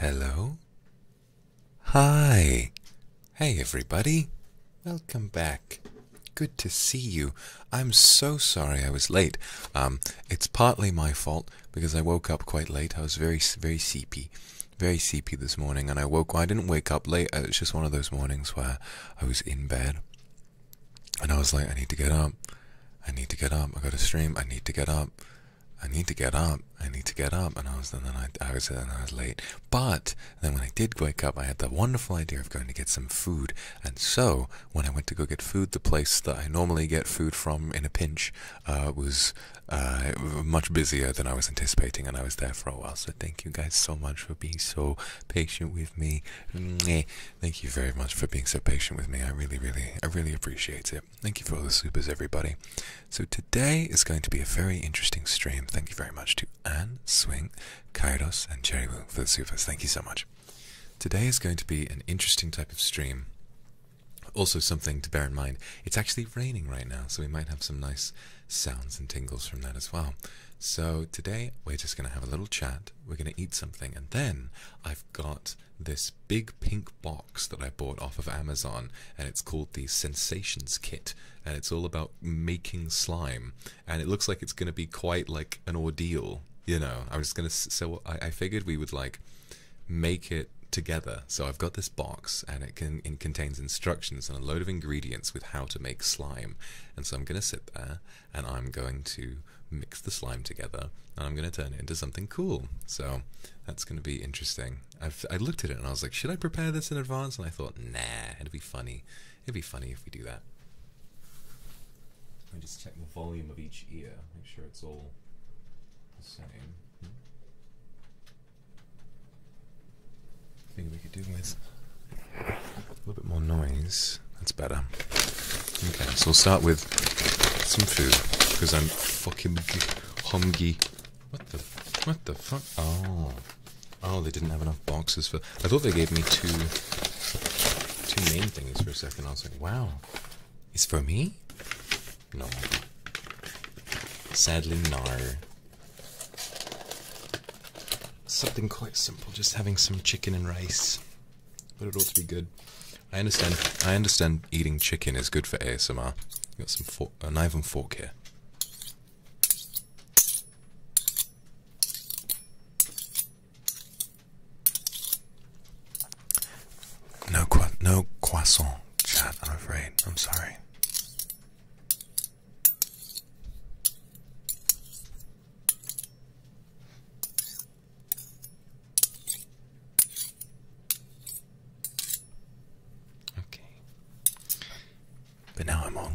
Hello. Hi. Hey, everybody. Welcome back. Good to see you. I'm so sorry I was late. Um, it's partly my fault because I woke up quite late. I was very, very sleepy, very sleepy this morning, and I woke. I didn't wake up late. Uh, it was just one of those mornings where I was in bed and I was like, I need to get up. I need to get up. I got a stream. I need to get up. I need to get up. I need to get up. And I was and then I, I was and I was late. But then when I did wake up, I had the wonderful idea of going to get some food. And so when I went to go get food, the place that I normally get food from in a pinch uh, was uh, much busier than I was anticipating, and I was there for a while. So thank you guys so much for being so patient with me. Thank you very much for being so patient with me. I really, really, I really appreciate it. Thank you for all the supers, everybody. So today is going to be a very interesting stream. Thank you very much to Anne, Swing, Kairos, and Cherry Wu for the supers. Thank you so much. Today is going to be an interesting type of stream. Also, something to bear in mind, it's actually raining right now, so we might have some nice sounds and tingles from that as well. So today we're just going to have a little chat. We're going to eat something, and then I've got this big pink box that I bought off of Amazon, and it's called the Sensations Kit, and it's all about making slime. And it looks like it's going to be quite like an ordeal, you know. I'm just going to. So I, figured we would like make it together. So I've got this box and it contains instructions and a load of ingredients with how to make slime. And so I'm going to sit there and I'm going to mix the slime together and I'm going to turn it into something cool. So that's going to be interesting. i looked at it and I was like, should I prepare this in advance? And I thought, nah, it'd be funny. It'd be funny if we do that. Let me just check the volume of each ear, make sure it's all the same. Hmm. Think we could do with a little bit more noise. That's better. Okay, so we'll start with some food because I'm fucking hungry. What the? What the fuck? Oh, oh, they didn't have enough boxes for. I thought they gave me two two main things for a second. I was like, wow, it's for me? No. Sadly, no. Something quite simple, just having some chicken and rice. But it ought to be good. I understand. I understand eating chicken is good for ASMR. got some fork, knife and fork here. No, no croissant chat. I'm afraid. I'm sorry. Okay. But now I'm hungry.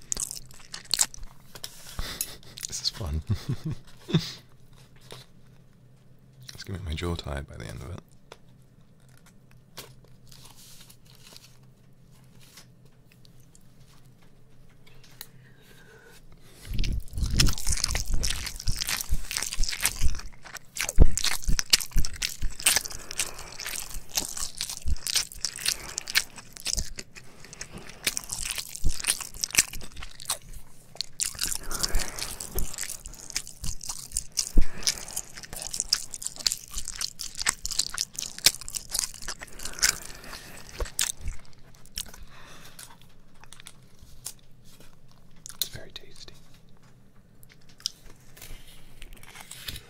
This is fun. It's gonna make my jaw tired by the end of it. It's very tasty.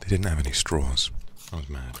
They didn't have any straws. I was mad.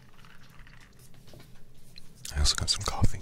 I also got some coffee.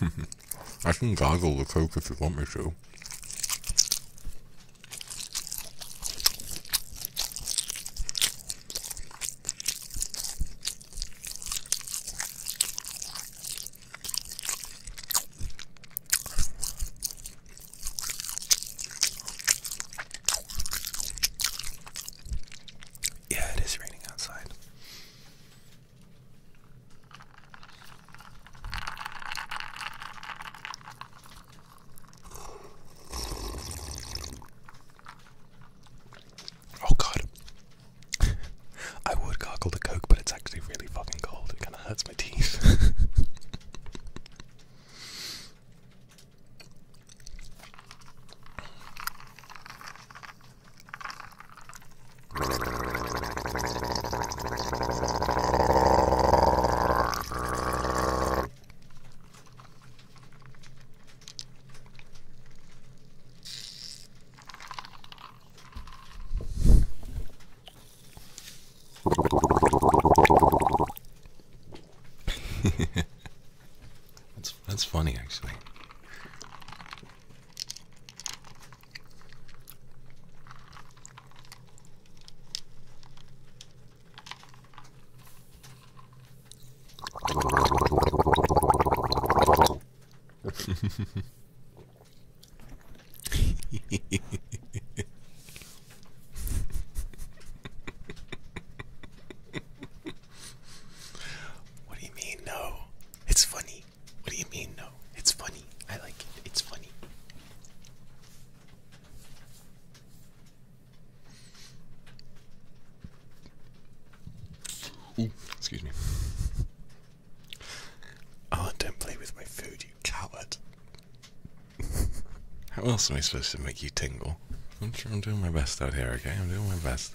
I can gargle the coke if you want me to. Yeah, it is raining outside. Oh god. I would gargle the coke, but it's actually really fucking cold kind of hurts my teeth. that's that's funny actually. what do you mean, no? It's funny. What do you mean, no? It's funny. I like it. It's funny. excuse me. Oh, don't play with my food, you coward. How else am I supposed to make you tingle? I'm sure I'm doing my best out here, okay? I'm doing my best.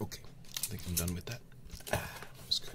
Okay, I think I'm done with that. Ah, that was good.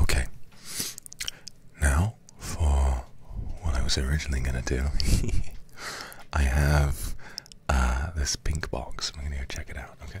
Okay. Now for what I was originally going to do. I have uh, this pink box. I'm going to go check it out, okay?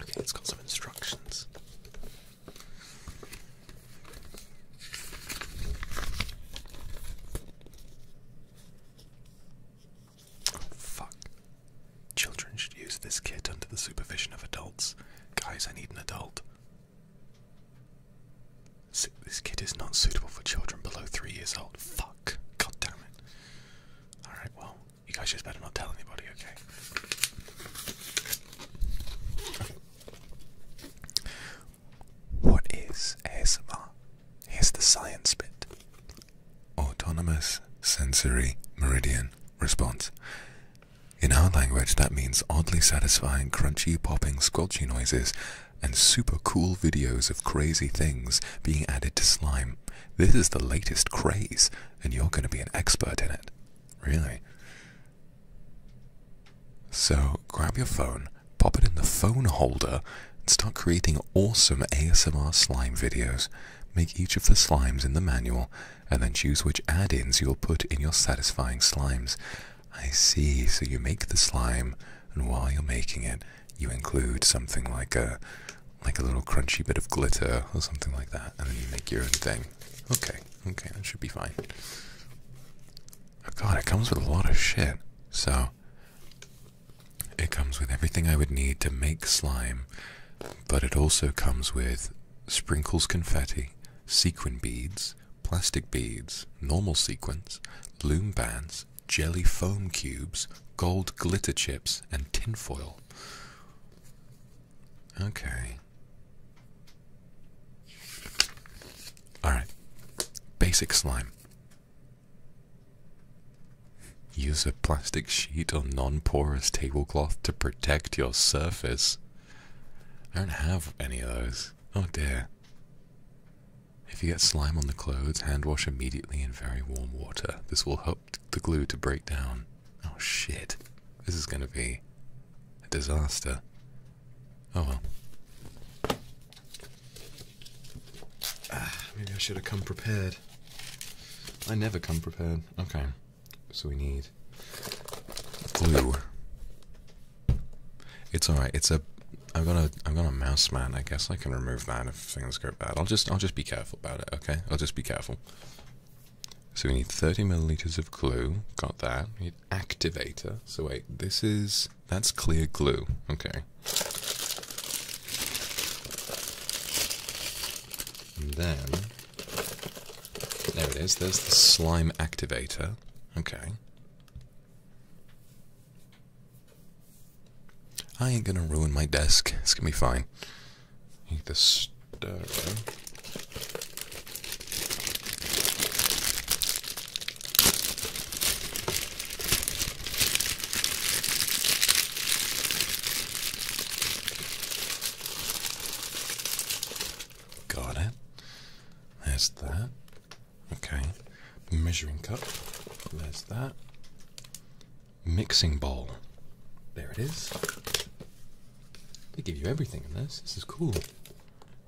Okay, it's got some instructions. Oh, fuck. Children should use this kit under the supervision of adults. Guys, I need an adult. This kit is not suitable for children below three years old. God damn it. Alright, well, you guys just better not tell anybody, okay? What is ASMR? Here's the science bit. Autonomous sensory meridian response. In our language, that means oddly satisfying, crunchy, popping, squelchy noises and super cool videos of crazy things being added to slime. This is the latest craze, and you're going to be an expert in it. Really? So grab your phone, pop it in the phone holder, and start creating awesome ASMR slime videos. Make each of the slimes in the manual, and then choose which add ins you'll put in your satisfying slimes. I see, so you make the slime, and while you're making it, you include something like a like a little crunchy bit of glitter or something like that, and then you make your own thing. Okay, okay, that should be fine. Oh god, it comes with a lot of shit. So it comes with everything I would need to make slime, but it also comes with sprinkles confetti, sequin beads, plastic beads, normal sequins, loom bands, jelly foam cubes, gold glitter chips, and tinfoil. Okay. Alright. Basic slime. Use a plastic sheet or non porous tablecloth to protect your surface. I don't have any of those. Oh dear. If you get slime on the clothes, hand wash immediately in very warm water. This will help the glue to break down. Oh shit. This is gonna be a disaster. Oh well. Ah, maybe I should have come prepared. I never come prepared. Okay. So we need glue. It's alright, it's a I'm gonna I'm gonna mouse man. I guess I can remove that if things go bad. I'll just I'll just be careful about it. Okay, I'll just be careful. So we need 30 milliliters of glue. Got that. We need activator. So wait, this is that's clear glue. Okay. And then there it is. There's the slime activator. Okay. I ain't gonna ruin my desk. It's gonna be fine. Got it. That's that. Okay measuring cup, there's that. Mixing bowl, there it is. They give you everything in this. This is cool.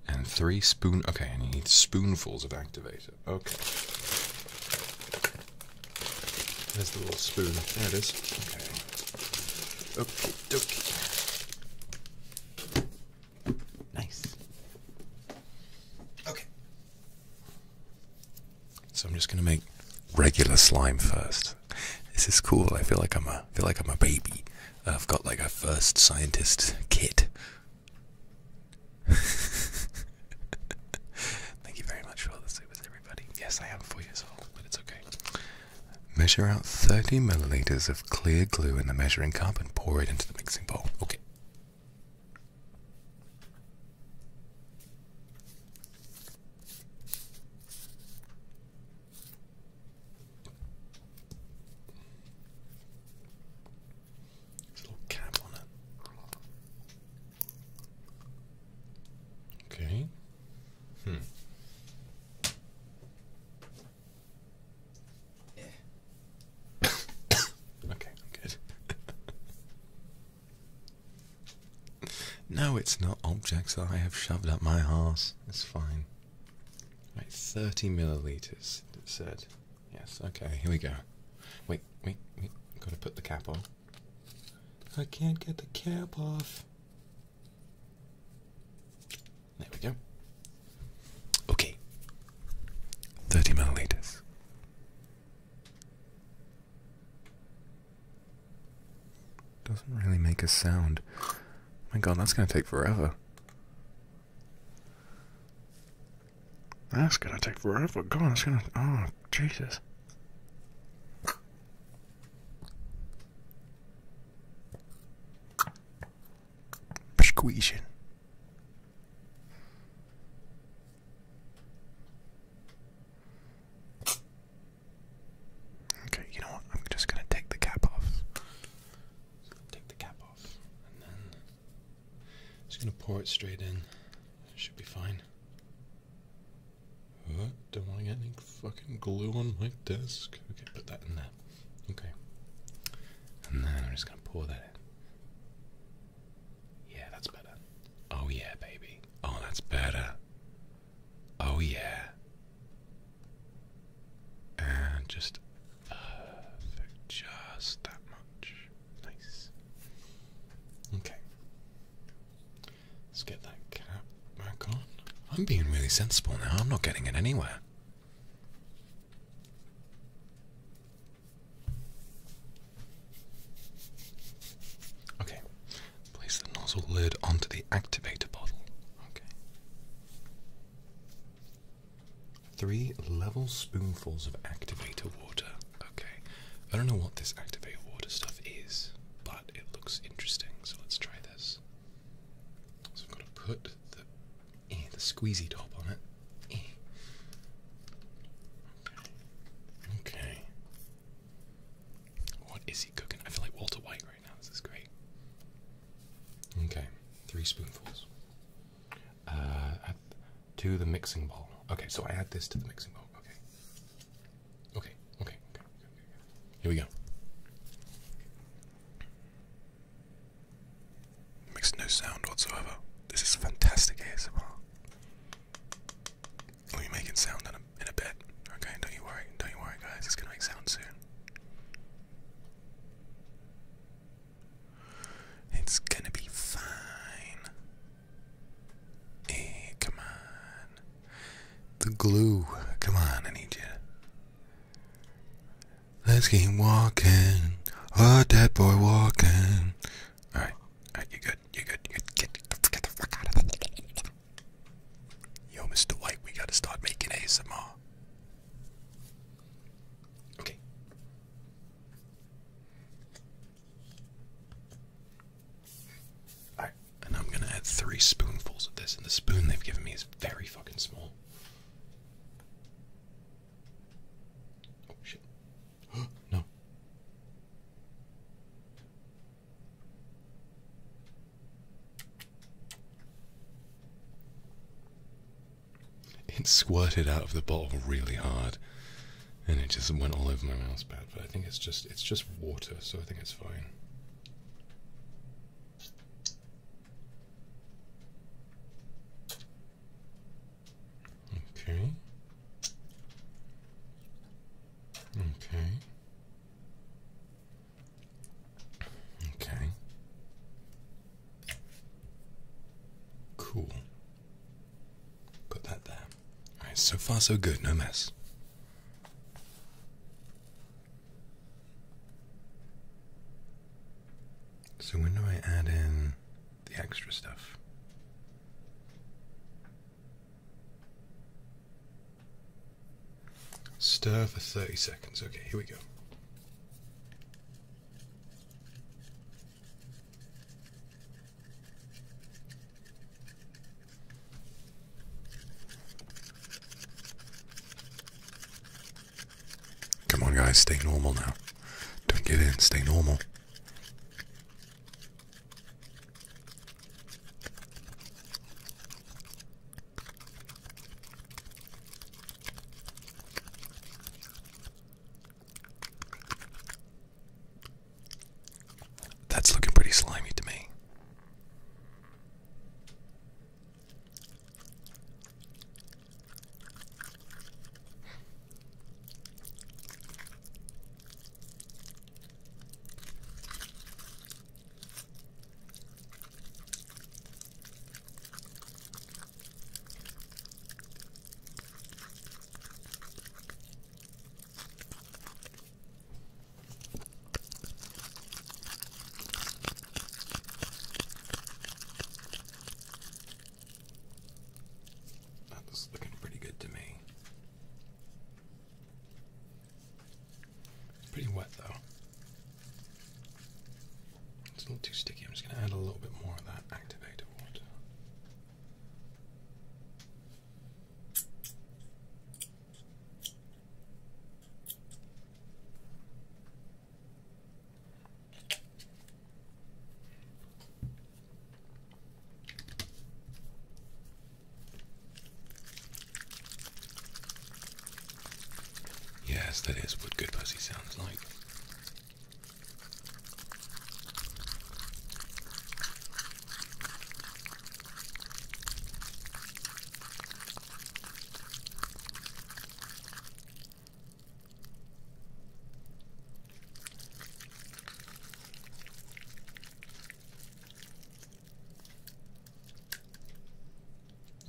And three spoon. Okay, and you need spoonfuls of activator. Okay. There's the little spoon. There it is. Okay. Okay, dokie. Nice. Okay. So I'm just gonna make regular slime first. This is cool. I feel like I'm a feel like I'm a baby. I've got like a first scientist kit. Thank you very much for all the supers, everybody. Yes, I am four years old, but it's okay. Measure out 30 milliliters of clear glue in the measuring cup and pour it into the mixing bowl. Okay, little cap on it. Okay. Hmm. okay, good. No, it's not objects that I have shoved up my arse. It's fine. Right, 30 milliliters, it said. Yes, okay, here we go. Wait, wait, wait. Gotta put the cap on. I can't get the cap off. There we go. Okay. 30 milliliters. Doesn't really make a sound. My god, that's gonna take forever. That's gonna take forever. God, that's gonna. Oh, Jesus. Squeezing. Okay, you know what? I'm just gonna take the cap off. Take the cap off, and then just gonna pour it straight in. It should be fine. Oh, don't want any fucking glue on my desk. Okay, put that in there. Okay, and then I'm just gonna pour that in. Yeah, that's better. Oh yeah, baby. Oh, that's better. Oh yeah. And just perfect, uh, just that much. Nice. Okay. Let's get that cap back on. I'm being really sensible now. I'm not getting it anywhere. Okay, place the nozzle lid onto the activator bottle. Okay. Three level spoonfuls of activator water. Okay. I don't know what this activator water stuff is, but it looks interesting, so let's try this. So I've got to put the, eh, the squeezy top on it. Eh. Okay. What is he cooking? I feel like Walter White right now. This is great. Okay, three spoonfuls. Uh, to the mixing bowl. Okay, so I add this to the mixing bowl. Okay. Okay, okay, Here we go. Makes no sound whatsoever. This is fantastic ASMR. We'll be making sound in a, in a bit. Okay, don't you worry. Don't you worry, guys. It's going to make sound soon. It's going to be fine. Hey, eh, come on. The glue. Come on, I need you. Let's keep walking. A dead boy walking. All right, all right, you good, you good, you good. Get, the fuck out of there. Yo, Mr. White, we gotta start making ASMR. Okay. All right, and I'm gonna add three spoonfuls of this, and the spoon they've given me is very fucking small. Oh shit. no. It squirted out of the bottle really hard, and it just went all over my mouth. But I think it's just it's just water, so I think it's fine. Okay. Okay. Okay. Cool. Put that there. Alright, so far so good, no mess. So when do I add in the extra stuff? Stir for 30 seconds. Okay, here we go. Come on, guys, stay normal now. Don't get in, stay normal. That's looking pretty slimy to me. That is looking pretty good to me. Pretty wet though. It's a little too sticky. I'm just going to add a little bit more of that activated Yes, that is what good pussy sounds like.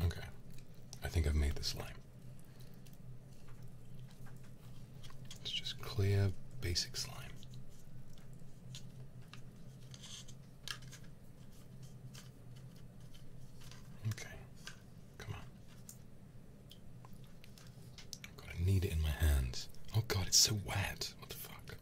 Okay, I think I've made this slime. It's just clear, basic slime. Okay, come on. I've got to knead it in my hands. Oh god, it's so wet. What the fuck?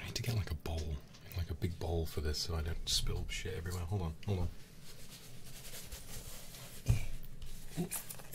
I need to get like a bowl, like a big bowl for this so I don't spill shit everywhere. Hold on, hold on.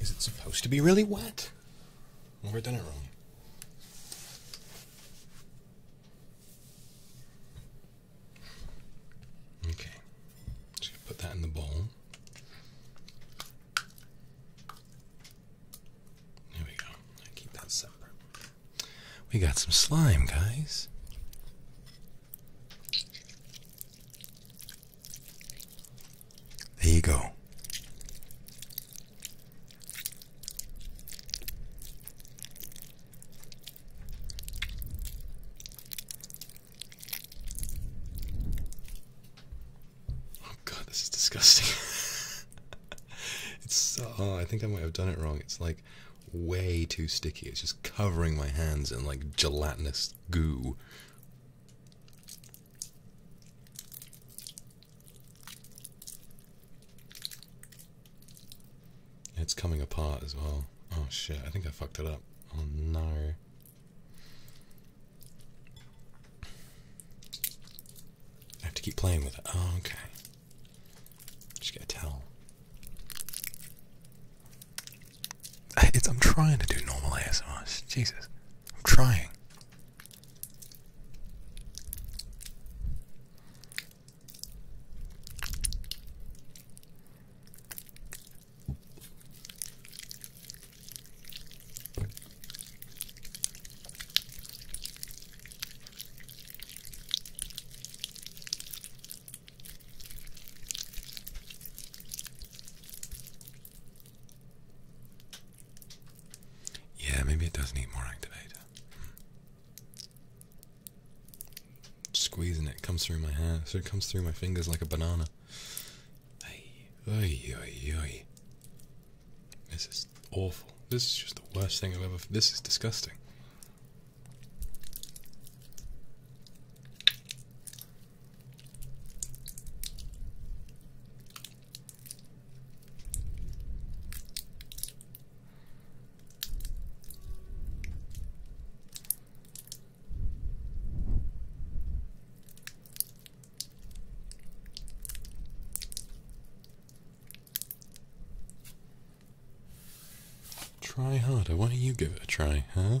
Is it supposed to be really wet? More dinner room. Okay, put that in the bowl. There we go. keep that separate. We got some slime, guys. There you go. Oh god, this is disgusting. it's oh, I think I might have done it wrong. It's like way too sticky. It's just covering my hands in like gelatinous goo. It's coming apart as well. Oh shit, I think I fucked it up. Oh no. I have to keep playing with it. Oh, okay. Just get a towel. It's, I'm trying to do normal ASOS. Jesus. I'm trying. Yeah, maybe it does need more activator. Hmm. Squeezing it comes through my hand, so it comes through my fingers like a banana. Hey, oy, oy, oy. This is awful. This is just the worst thing I've ever. This is disgusting. Try harder. Why don't you give it a try, huh?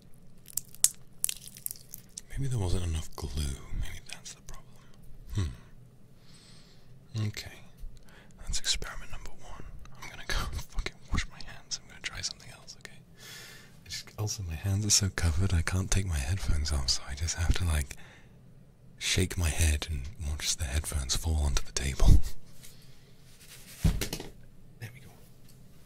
Maybe there wasn't enough glue. Maybe that's the problem. Hmm. Okay. That's experiment number one. I'm gonna go and fucking wash my hands. I'm gonna try something else, okay? also, my hands are so covered, I can't take my headphones off, so I just have to, like, shake my head and watch the headphones fall onto the table. there we go.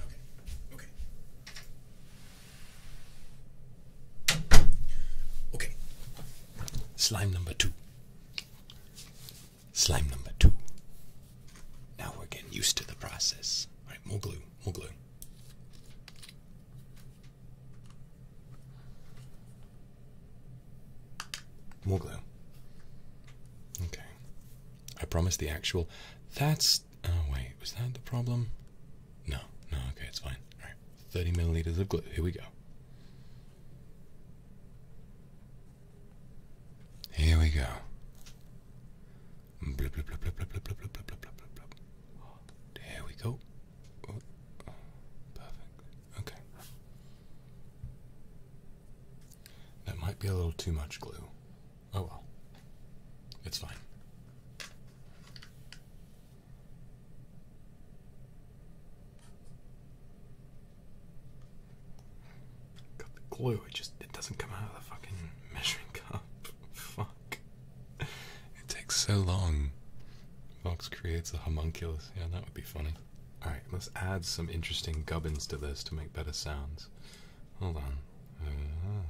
Okay. Okay. Okay. Slime number two. Slime number two. Now we're getting used to the process. Alright, more glue, more glue. More glue. Okay. I promise the actual. That's. Oh, wait. Was that the problem? No. No, okay, it's fine. Alright. 30 milliliters of glue. Here we go. Here we go. There we go. Oh, perfect. Okay. That might be a little too much glue. Oh well. It's fine. Got the glue, it just it doesn't come out of the fucking measuring cup. Fuck. It takes so long. Vox creates a homunculus. Yeah, that would be funny. Alright, let's add some interesting gubbins to this to make better sounds. Hold on. Uh -huh.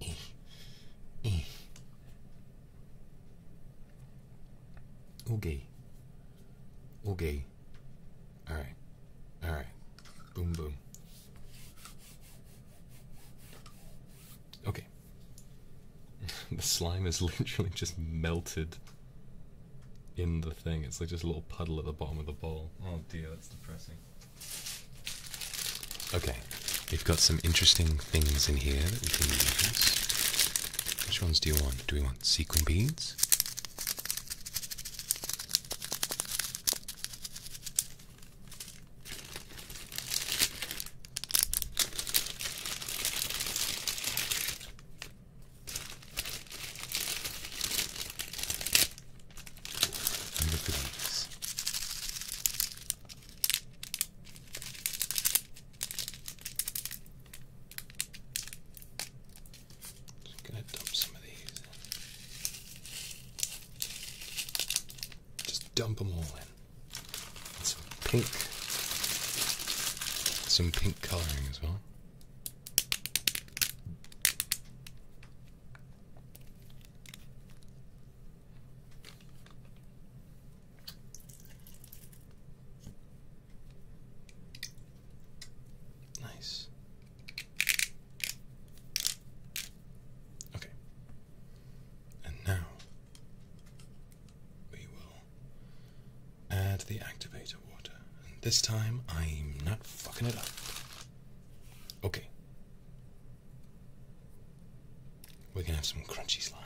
Eh. Eh. Okay. Okay. Alright. Alright. Boom, boom. Okay. the slime is literally just melted in the thing. It's like just a little puddle at the bottom of the bowl. Oh dear, that's depressing. Okay. We've got some interesting things in here that we can use. Which ones do you want? Do we want sequin beads? look at these. Just gonna dump some of these. Just dump them all in. some pink, some pink coloring as well. Nice. Okay. And now we will add the activator water. And this time I'm not fucking it up. Okay. We're gonna have some crunchy slime.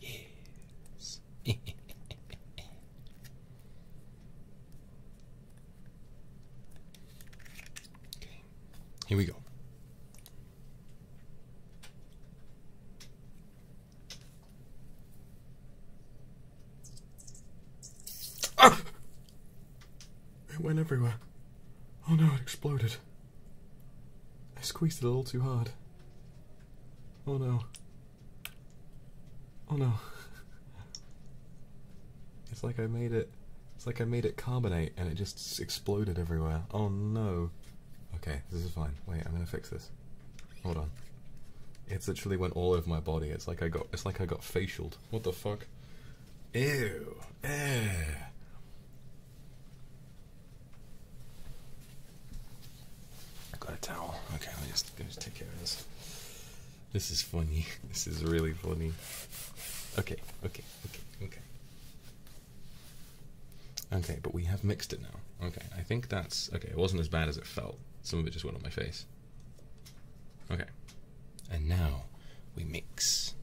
Yes. okay, here we go. Ah! It went everywhere. Oh no, it exploded. I squeezed it a little too hard. Oh no. Oh no. It's like I made it. It's like I made it carbonate and it just exploded everywhere. Oh no. Okay, this is fine. Wait, I'm gonna fix this. Hold on. It literally went all over my body. It's like I got. It's like I got facialed. What the fuck? Ew. Ew. I got a towel. Okay, I'll just take care of this. This is funny. This is really funny. Okay, okay, okay, okay. Okay, but we have mixed it now. Okay, I think that's okay. It wasn't as bad as it felt. Some of it just went on my face. Okay, and now we mix.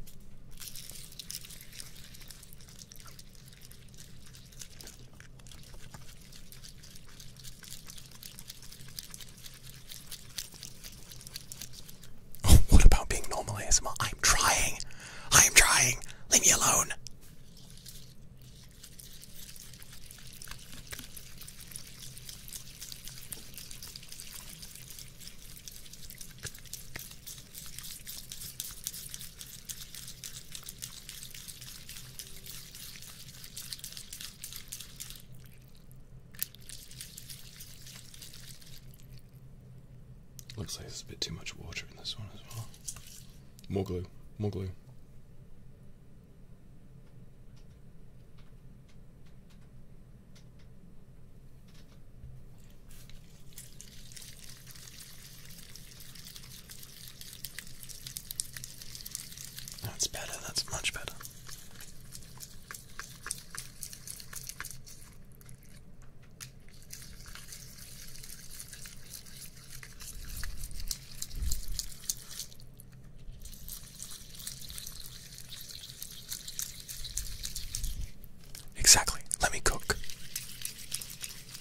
Oh, what about being normal ASMR? I'm trying. I'm trying. Leave me alone. Looks like there's a bit too much water in this one as well. More glue, more glue. That's better, that's much better. Exactly. Let me cook.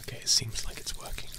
Okay, it seems like it's working now.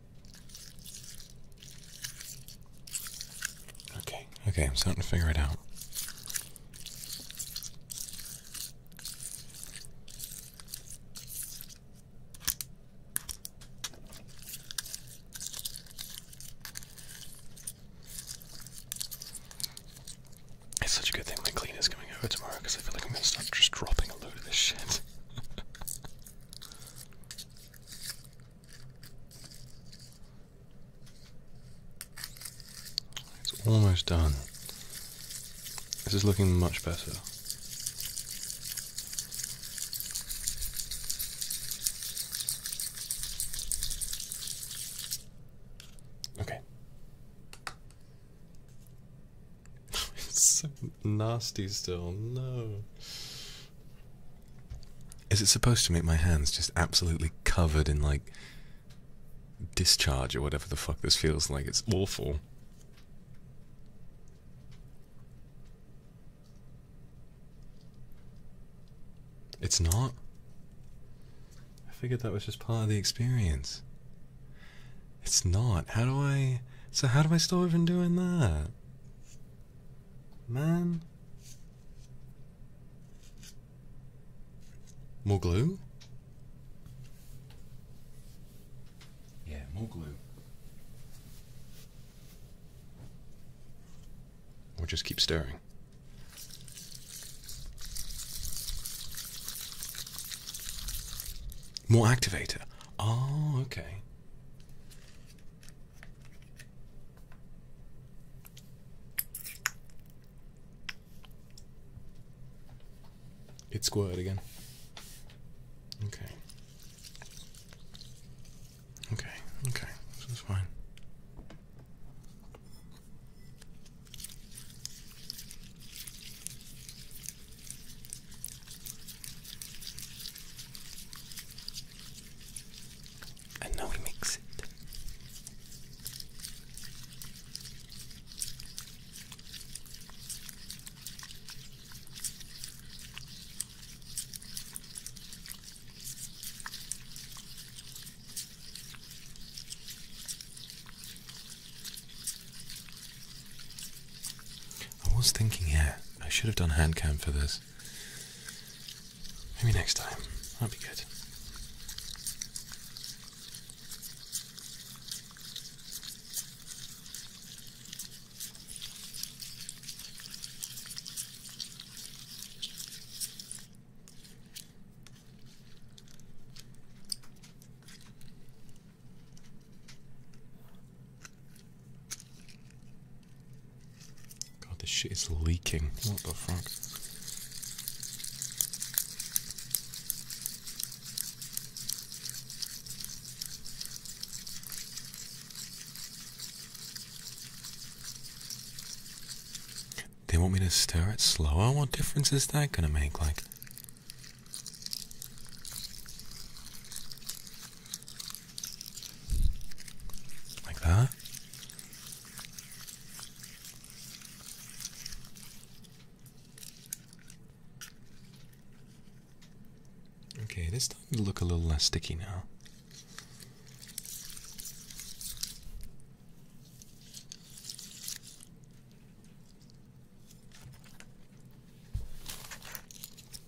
Okay, okay, I'm starting to figure it out. It's such a good thing my cleaner's coming over tomorrow because I feel like I'm gonna start just dropping a load of this shit. It's almost done. This is looking much better. Okay. so nasty still. No. Is it supposed to make my hands just absolutely covered in like discharge or whatever the fuck this feels like? It's awful. It's not. I figured that was just part of the experience. It's not. How do I. So, how do I stop even doing that? Man. More glue? Yeah, more glue. Or just keep stirring. More activator. Oh, okay. It's squirted again. Okay. Okay, okay, this fine. And now we mix it. I was thinking, yeah, I should have done hand cam for this. Maybe next time. That'd be good. God, this shit is leaking. What the fuck? They want me to stir it slower? What difference is that gonna make? Like. Like that. Okay, this time to look a little less sticky now.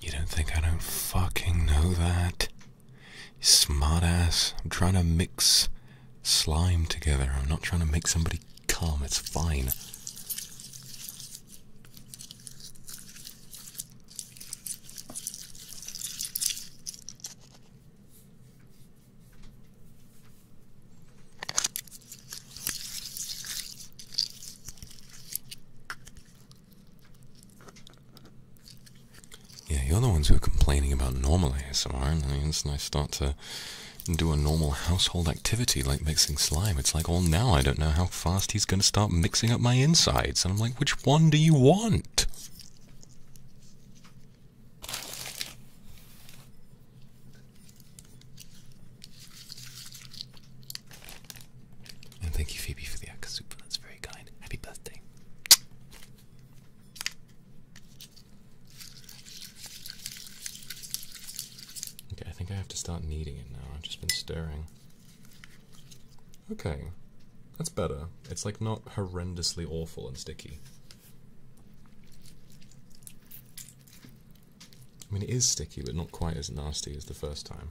You don't think I don't fucking know that? Smartass. I'm trying to mix slime together. I'm not trying to make somebody calm. It's fine. Yeah, you're the ones who are complaining about normal ASMR, and I mean, I start to do a normal household activity like mixing slime. It's like, oh, now I don't know how fast he's going to start mixing up my insides. And I'm like, which one do you want? And thank you, Phoebe, for the Akasupa. That's very kind. Happy birthday. Okay, I think I have to start kneading it now. I've just been staring. Okay, that's better. It's like not horrendously awful and sticky. I mean, it is sticky, but not quite as nasty as the first time.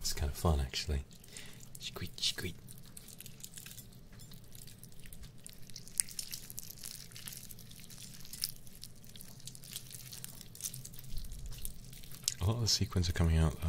It's kind of fun actually. Squeak, squeak. A lot of the sequins are coming out though.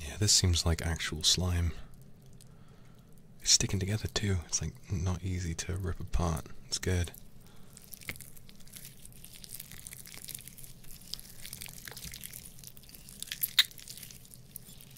Yeah, this seems like actual slime. It's sticking together too. It's like not easy to rip apart. It's good.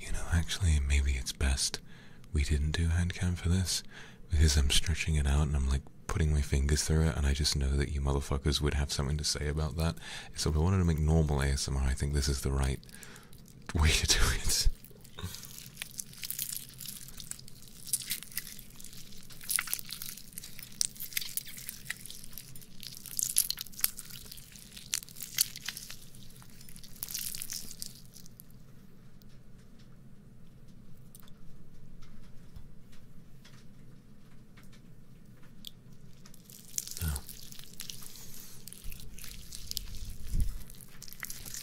You know, actually, maybe it's best we didn't do hand cam for this because I'm stretching it out and I'm like putting my fingers through it, and I just know that you motherfuckers would have something to say about that. So if I wanted to make normal ASMR, I think this is the right way to do it.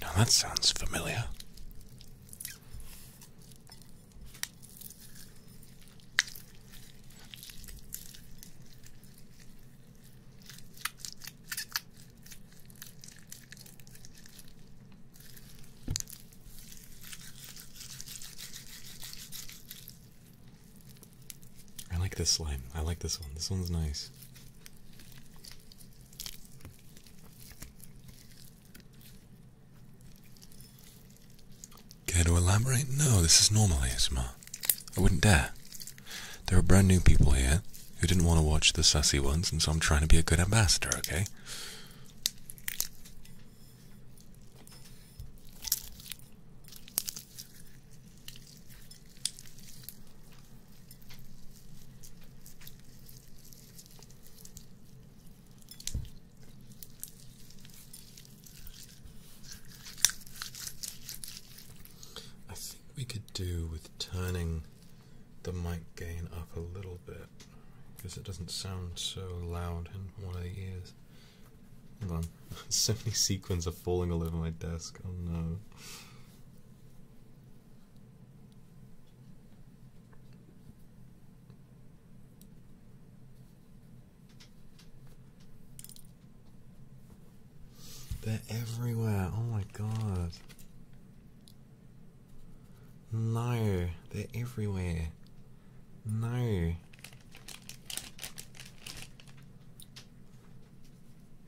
Now that sounds familiar. I like this slime. I like this one. This one's nice this. Care to elaborate? No, this is normal ASMR. I wouldn't dare. There are brand new people here who didn't want to watch the sassy ones, and so I'm trying to be a good ambassador, okay? I think we could do with turning the mic gain up a little bit because it doesn't sound so loud in one of the ears. Hold on, so many sequins are falling all over my desk. Oh no. They're everywhere. Oh my god. No, they're everywhere. No.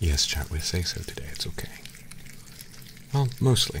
Yes, chat, we say so today. It's okay. Well, mostly.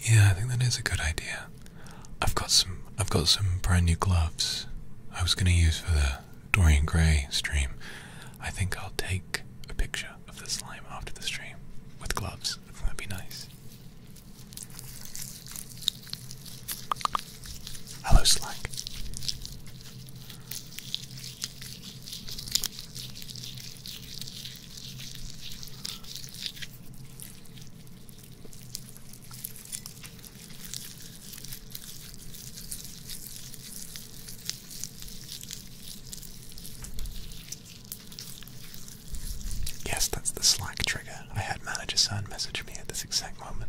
Yeah, I think that is a good idea. I've got some I've got some brand new gloves I was gonna use for the Dorian Gray stream. I think I'll take a picture of the slime after the stream with gloves. I that'd be nice. Hello slime. Yes, that's the Slack trigger. I had Manager San message me at this exact moment.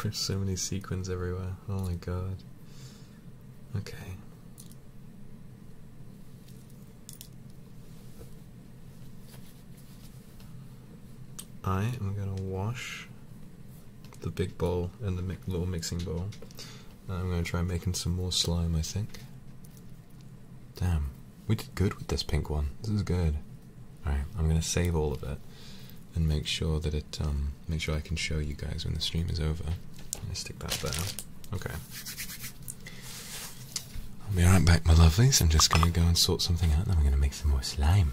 There's so many sequins everywhere. Oh my god. Okay. I am going to wash the big bowl and the little mixing bowl. I'm going to try making some more slime, I think. Damn, we did good with this pink one. This is good. Alright, I'm going to save all of it and make sure that it, um, make sure I can show you guys when the stream is over. I'm going to stick that there. Okay. I'll be right back, my lovelies. I'm just going to go and sort something out, and then we're going to make some more slime.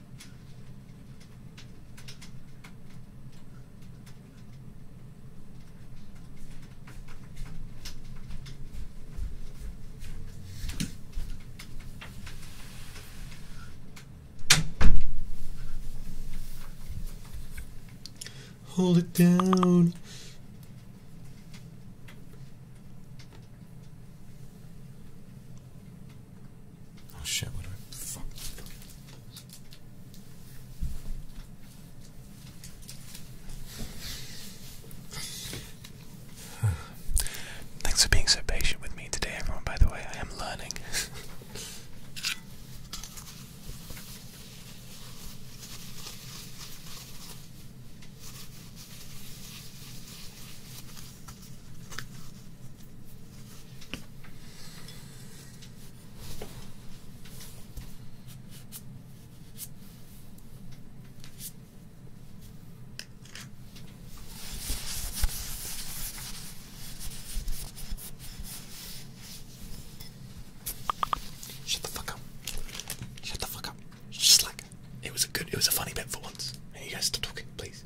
Hold it down. Oh, Thanks for being so patient with me today, everyone. By the way, I am learning. Shut the fuck up. Shut the fuck up. Just like it was a good it was a funny bit for once. And you guys stop talking, please.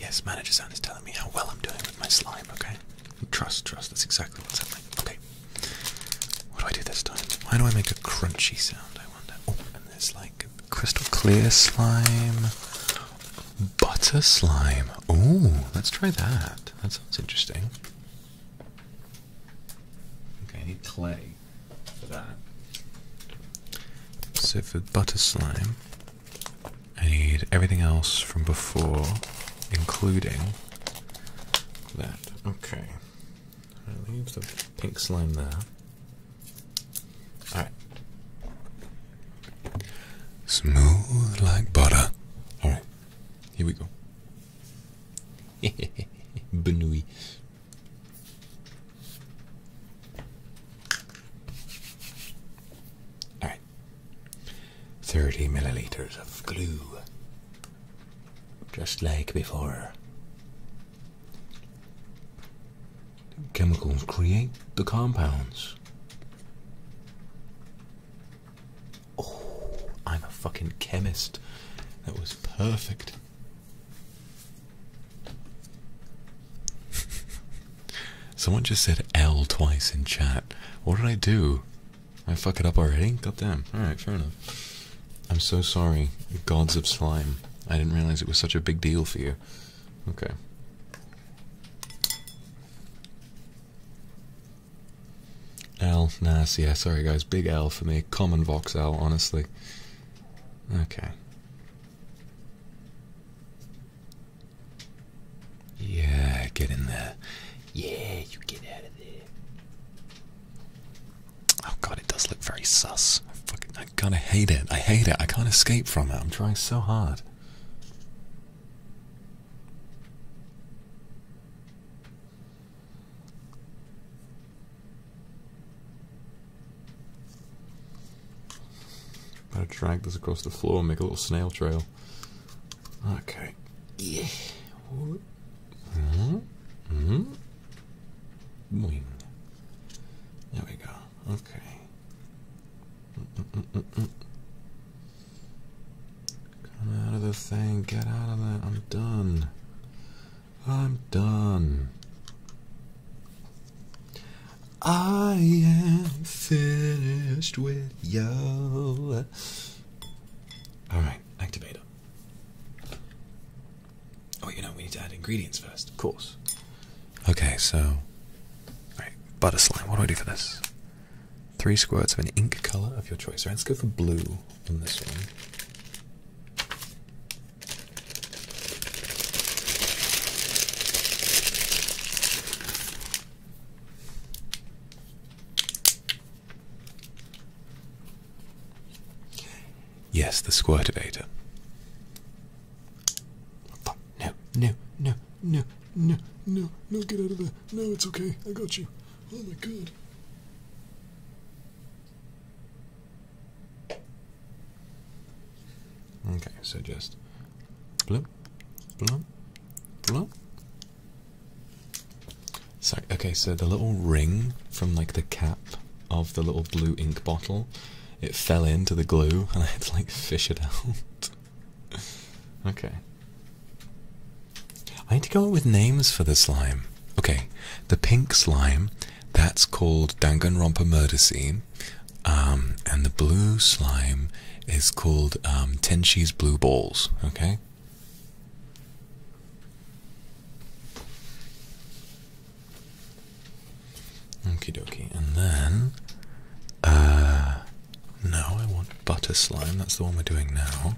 Yes, manager sound is telling me how well I'm doing with my slime, okay? Trust, trust, that's exactly what's happening. Okay. What do I do this time? Why do I make a crunchy sound, I wonder? Oh, it's like crystal clear slime, butter slime. Oh, let's try that. That sounds interesting. Okay, I need clay for that. So for butter slime, I need everything else from before, including that. Okay. Alright, leave the pink slime there. Alright. Smooth like butter. Alright, here we go. Benui. Alright. 30 milliliters of glue. Just like before. Chemicals create the compounds. Oh, I'm a fucking chemist. That was perfect. Someone just said L twice in chat. What did I do? I fuck it up already? God damn. Alright, fair enough. I'm so sorry, gods of slime. I didn't realize it was such a big deal for you. Okay. L, nice, yeah, sorry guys, big L for me, common voxel, honestly. Okay. Yeah, get in there. Yeah, you get out of there. Oh god, it does look very sus. I fucking, I kind of hate it. I hate it. I can't escape from it. I'm trying so hard. Gotta drag this across the floor and make a little snail trail. Okay. Yeah. -hmm. -hmm. There we go. Okay. Come out of this thing. Get out of that. I'm done. I'm done. I am finished with you. Alright, activate Oh, you know, we need to add ingredients first. Of course. Okay, so. Alright, butter slime. What do I do for this? Three squirts of an ink color of your choice. Right, let's go for blue on this one. Yes, the squirtivator. Fuck, no, no, no, no, no, no, no, get out of there. No, it's okay. I got you. Oh my god. Okay, so just bloop, bloop, bloop. Sorry, okay, so the little ring from like the cap of the little blue ink bottle, it fell into the glue and I had to like fish it out. okay. I need to go with names for the slime. Okay, the pink slime, that's called Danganronpa Murder Scene. Um, and the blue slime is called um, Tenshi's Blue Balls, okay? Okie dokie, and then, uh, now I want butter slime, that's the one we're doing now.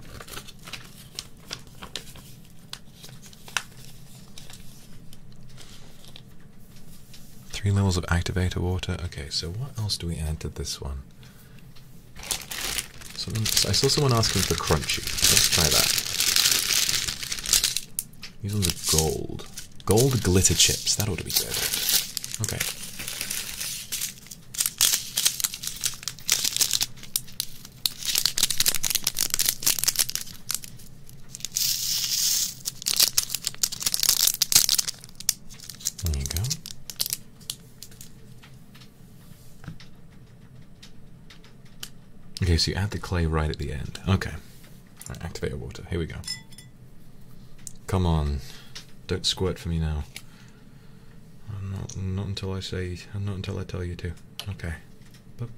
Three levels of activator water. Okay, so what else do we add to this one? I saw someone asking for crunchy. Let's try that. These ones are gold. Gold glitter chips. That ought to be good. Okay. There you go. Okay, so you add the clay right at the end. Okay. activate your water. Here we go. Come on. Don't squirt for me now. not, until I say, not until I tell you to. Okay. Boop.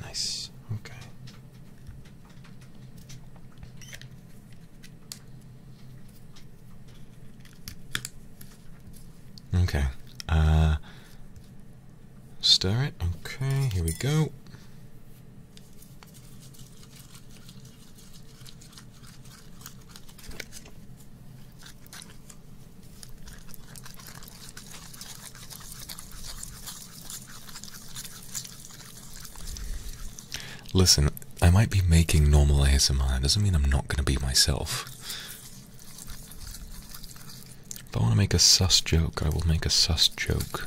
Nice. Okay. Okay. Uh, stir it. Okay, here we go. Listen, I might be making normal ASMR, doesn't mean I'm not going to be myself. If I want to make a sus joke, I will make a sus joke.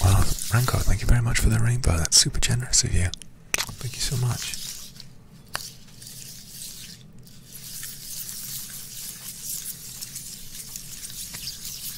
Wow, Ranko, thank you very much for the rainbow. That's super generous of you. Thank you so much.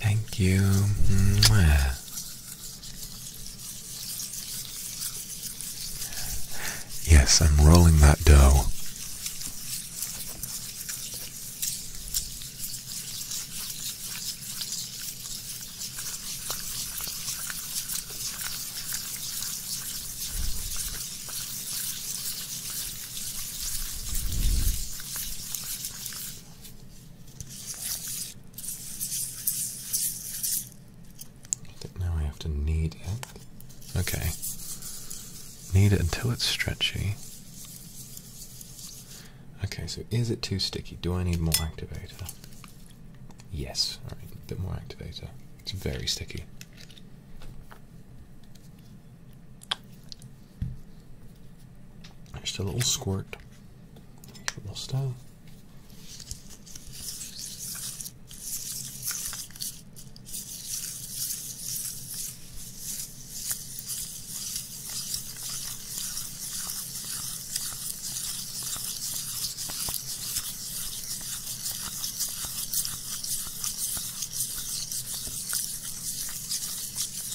Thank you. Yes, I'm rolling that dough now I have to knead it. Okay. Knead it until it's stretchy. Okay, so is it too sticky? Do I need more activator? Yes. Alright, a bit more activator. It's very sticky. Just a little squirt. little style.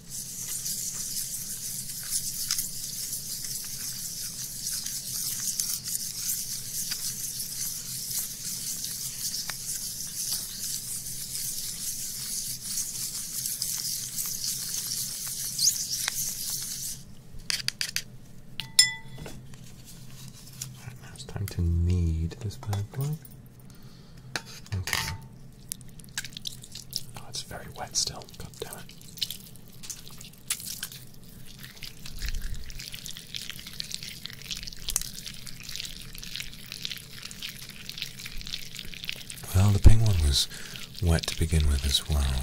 Right, now it's time to knead this bad boy. Okay. Oh, it's very wet still. God damn it. Well, the penguin was wet to begin with as well.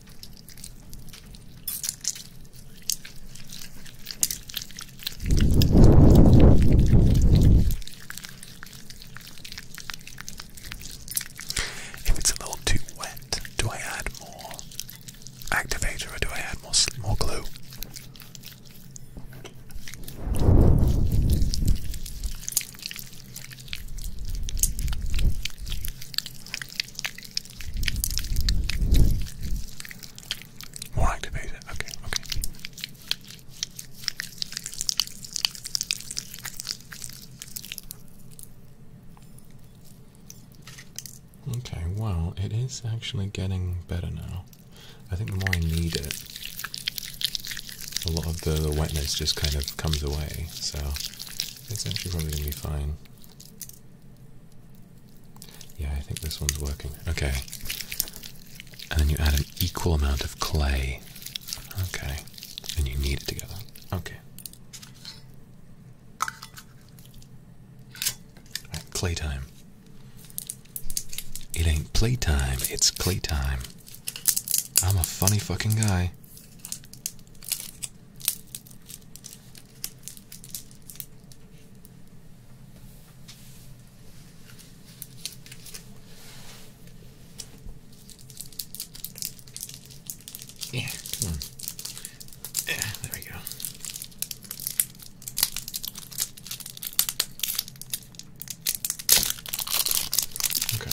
If it's a little too wet, do I add more activator do I add more more glue? More activated. Okay, okay. Okay, well, it is actually getting better now. I think the more I knead it, a lot of the wetness just kind of comes away, so it's actually probably going to be fine. Yeah, I think this one's working. Okay. And then you add an equal amount of clay. Okay. And you knead it together. Okay. clay time. It ain't playtime. it's clay time. I'm a funny fucking guy. Yeah, come on. Yeah, there we go. Okay.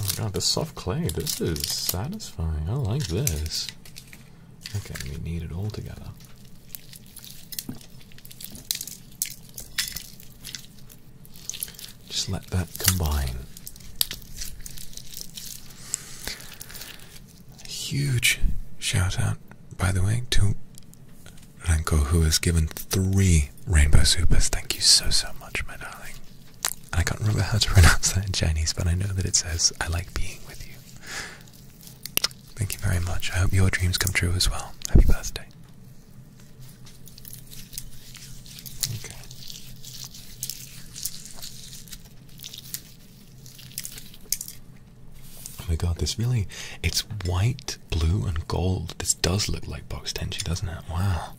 Oh god, the soft clay, this is satisfying. I like this. Okay, we need it all together. Just let that combine. Huge shout out, by the way, to Renko, who has given three rainbow supers. Thank you so, so much, my darling. I can't remember how to pronounce that in Chinese, but I know that it says, I like being with you. Thank you very much. I hope your dreams come true as well. Happy birthday. Okay. Oh my god, this really, it's white blue, and gold. This does look like box tenchi, doesn't it? Wow.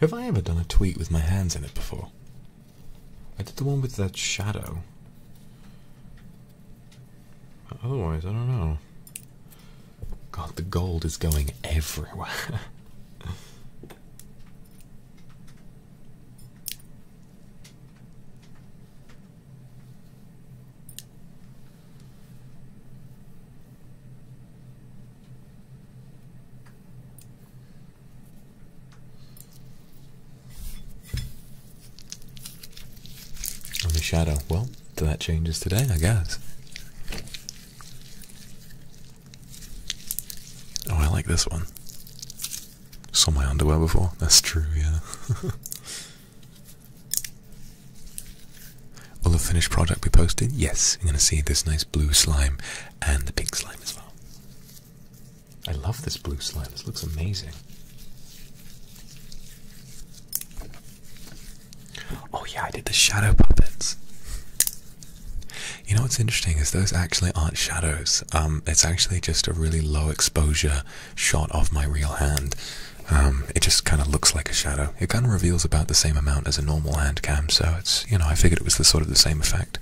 Have I ever done a tweet with my hands in it before? I did the one with that shadow. Otherwise, I don't know. God, the gold is going everywhere. Only shadow. Well, that changes today, I guess. Oh, I like this one. Saw my underwear before. That's true, yeah. Will the finished product be posted? Yes. You're going to see this nice blue slime and the pink slime as well. I love this blue slime. This looks amazing. Oh yeah, I did the shadow puppets. You know what's interesting is those actually aren't shadows. Um, it's actually just a really low exposure shot of my real hand. Um, it just kind of looks like a shadow. It kind of reveals about the same amount as a normal hand cam, so it's you know I figured it was the sort of the same effect.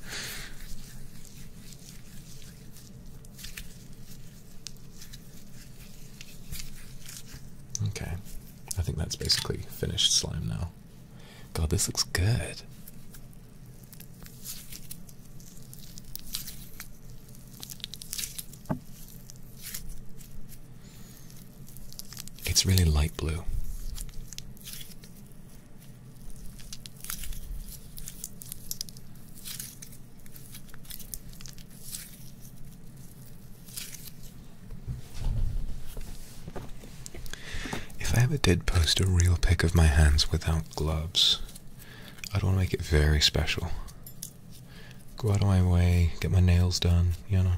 Okay, I think that's basically finished slime now. God, this looks good. It's really light blue. If I ever did post a real pic of my hands without gloves, I'd want to make it very special. Go out of my way, get my nails done, you know.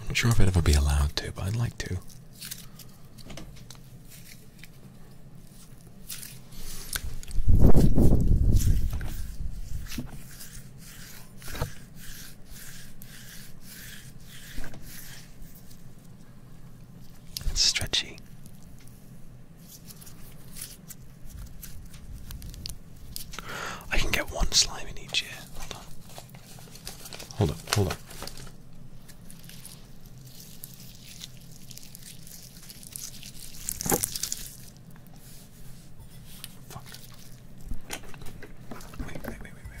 I'm not sure if I'd ever be allowed to, but I'd like to. It's stretchy. I can get one slime in each year. Hold on. Hold up, hold up. Fuck. Wait, wait, wait, wait, wait, wait.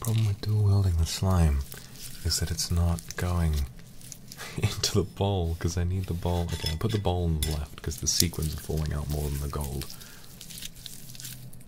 Problem with dual welding the slime is that it's not going into the ball because I need the ball. Okay, I'll put the ball on the left because the sequins are falling out more than the gold.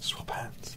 Swap hands.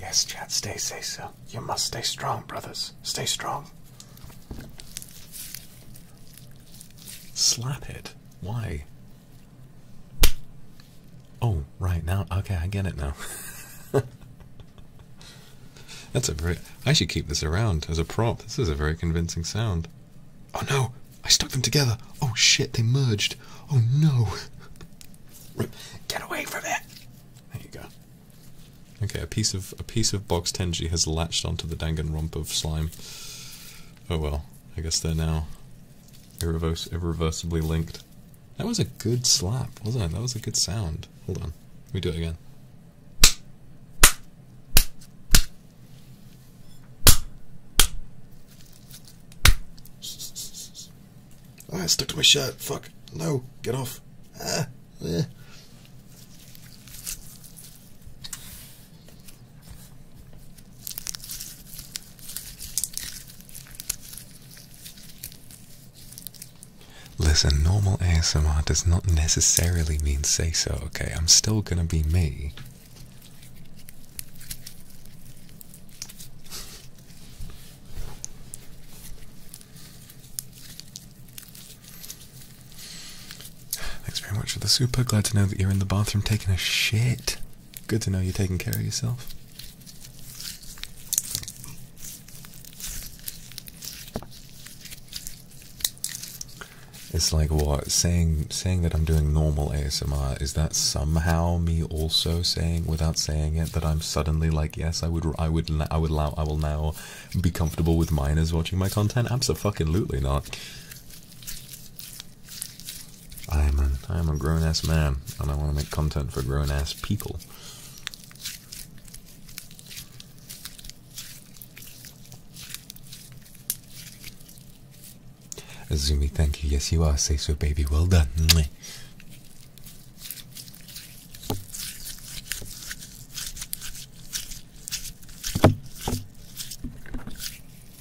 Yes, Chad. stay, say so. You must stay strong, brothers. Stay strong. Slap it. Why? Oh, right now. Okay, I get it now. That's a very. I should keep this around as a prop. This is a very convincing sound. Oh no! I stuck them together. Oh shit! They merged. Oh no! Get away from it! There you go. Okay, a piece of a piece of box tenji has latched onto the rump of slime. Oh well, I guess they're now irreversibly linked. That was a good slap, wasn't it? That was a good sound. Hold on, we do it again. Ah, stuck to my shirt. Fuck. No, get off. Ah. Eh. Listen, normal ASMR does not necessarily mean say so, okay? I'm still gonna be me. Thanks very much for the super. Glad to know that you're in the bathroom taking a shit. Good to know you're taking care of yourself. It's like what saying saying that I'm doing normal ASMR is that somehow me also saying without saying it that I'm suddenly like yes I would I would I would allow I will now be comfortable with minors watching my content absolutely not I am an am a grown ass man and I want to make content for grown ass people. Zumi, thank you. Yes, you are. Say so, baby. Well done.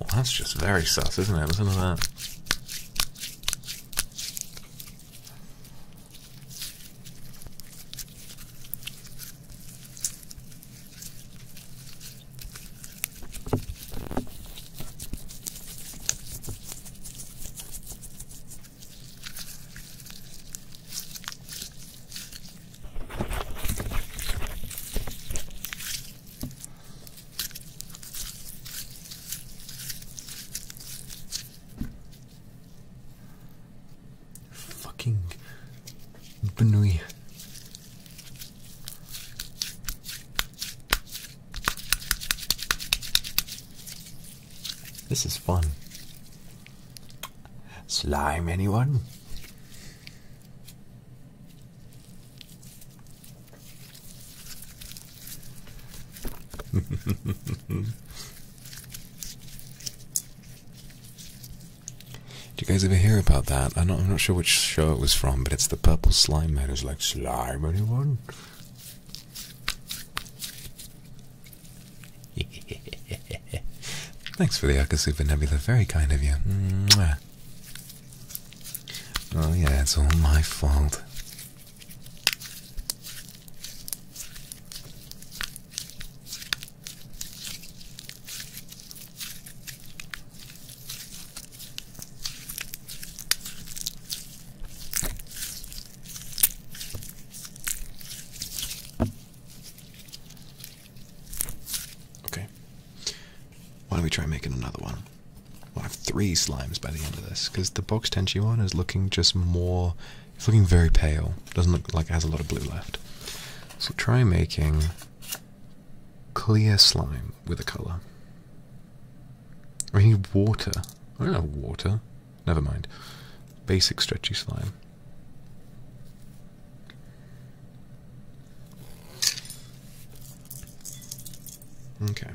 Well, that's just very sus, isn't it? Listen to that. Fucking Benui. This is fun. Slime, anyone? Do you guys ever hear about that? I'm not, sure which show it was from, but it's the purple slime man who's like, Slime, anyone? Thanks for the Akasupa Nebula, very kind of you. Oh, yeah, it's all my fault. Okay. Why don't we try making another one? I have three slimes by the end of this, because the box tension one is looking just more. It's looking very pale. Doesn't look like it has a lot of blue left. So try making clear slime with a colour. I need water. I don't have water. Never mind. Basic stretchy slime. Okay.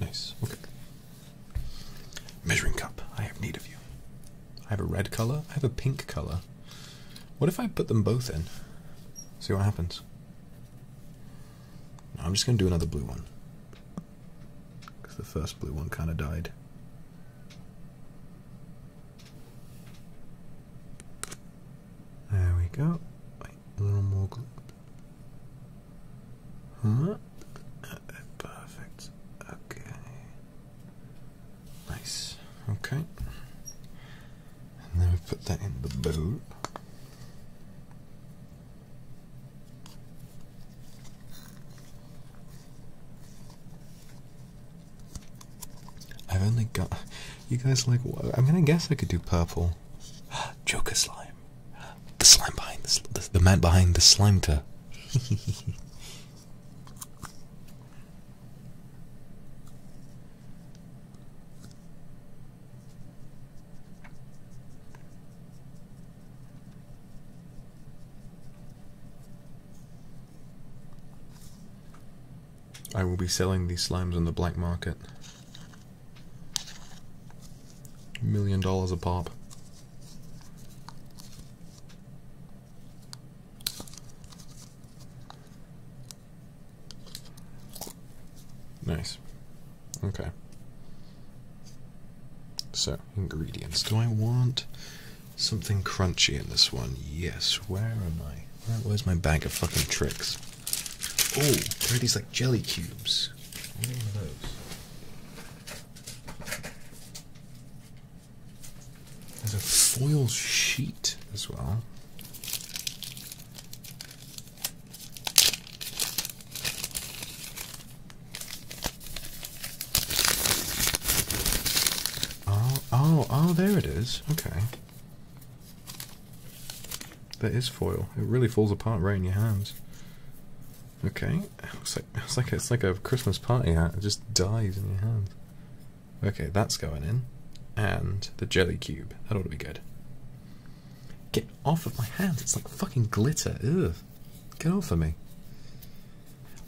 Nice. Okay. Measuring cup. I have need of you. I have a red color. I have a pink color. What if I put them both in? See what happens. I'm just going to do another blue one. Because the first blue one kind of died. There we go. Wait, a little more Perfect. Okay. Nice. Okay. And then we put that in the bowl. I've only got. You guys like. I'm gonna guess I could do purple. Joker slime. The slime behind the, sl the, the man behind the slime -ta. I will be selling these slimes on the black market million dollars a pop. Nice. Okay. So, ingredients. Do I want something crunchy in this one? Yes. Where am I? where's my bag of fucking tricks? Oh, there are these like jelly cubes. What are those? There's a foil sheet as well. Oh, oh, oh, there it is. Okay. That is foil. It really falls apart right in your hands. Okay, looks it's like a, it's like a Christmas party hat. It just dies in your hand. Okay, that's going in, and the jelly cube. That ought to be good. Get off of my hand! It's like fucking glitter. Ugh! Get off of me!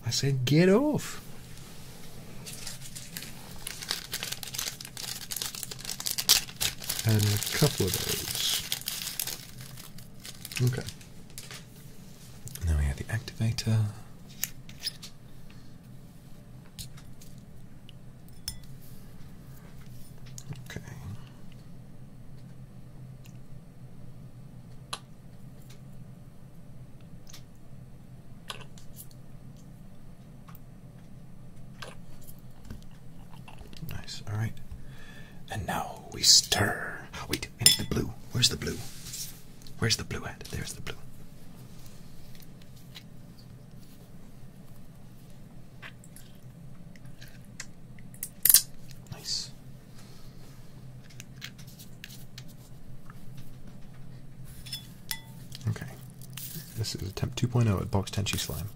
I said get off! And a couple of those. Okay. Now we have the activator. Okay. Nice, all right. And now we stir. We I the blue. Where's the blue? Where's the blue at? There's the blue. Nice. Okay. This is attempt 2.0 at Box Tenchi Slime.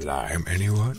Slime anyone?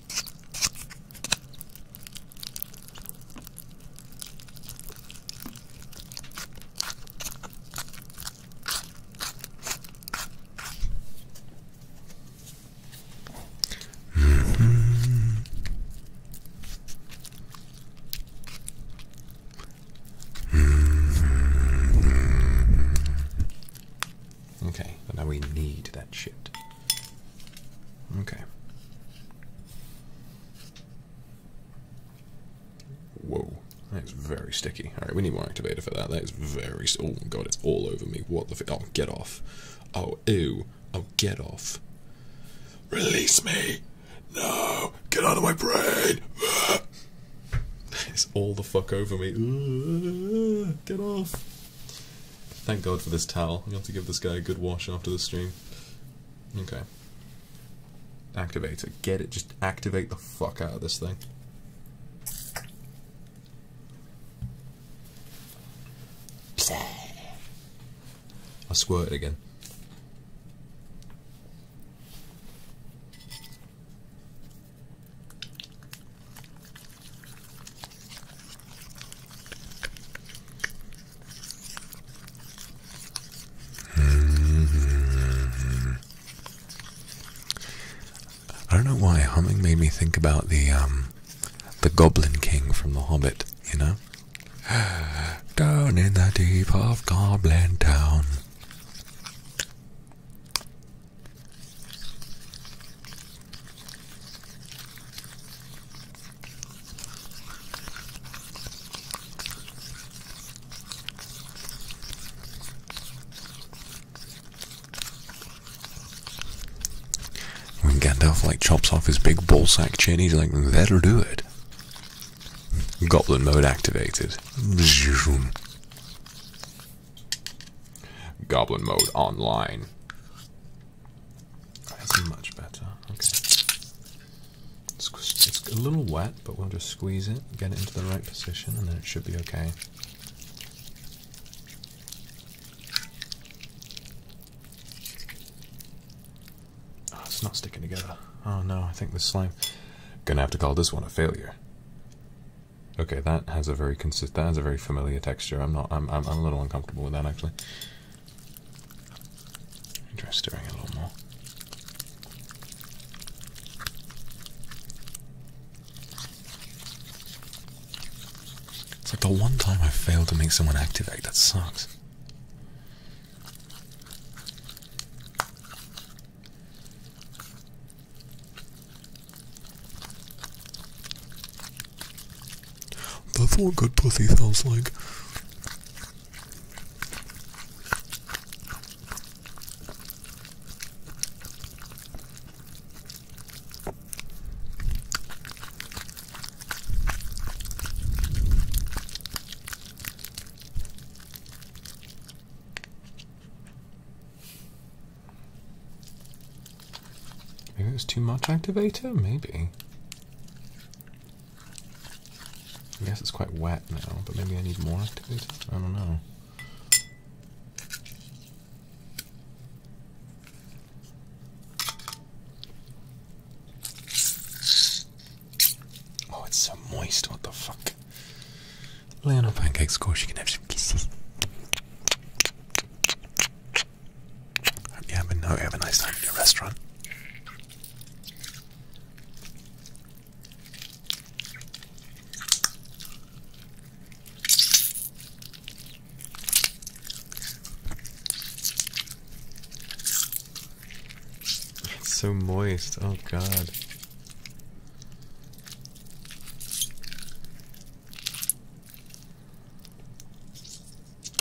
hmm hmm Okay, but now we need that shit. Okay. Whoa, that is very sticky. All right, we need more activator for that. That is very. Oh god, it's all over me. What the? oh, get off. Oh, ew. Oh, get off. Release me. No, get out of my brain. it's all the fuck over me. Get off. Thank God for this towel. I'm going to have to give this guy a good wash after the stream. Okay. Activator. Get it? Just activate the fuck out of this thing. I squirt it again. I don't know why humming made me think about the um, the Goblin King from The Hobbit. You know, down in the deep of Goblin Town. When Gandalf like chops off his big ballsack chin, he's like, that'll do it. Goblin mode activated. Goblin mode online. That's much better. Okay. It's, a little wet, but we'll just squeeze it, get it into the right position, and then it should be okay. Ah, it's not sticking together. Oh no, I think this slime. Gonna have to call this one a failure. Okay, that has a very consist. That has a very familiar texture. I'm not. I'm, I'm a little uncomfortable with that actually. Enjoy stirring a little more. It's like the one time I failed to make someone activate. That sucks. That's what good pussy sounds like. Maybe it's too much activator? Maybe. I guess it's quite wet now, but maybe I need more activator? I don't know. Oh, it's so moist, what the fuck? Lay on a pancake score, can have some kisses. Hope you have a, have a nice time at your restaurant. It's so moist, oh god.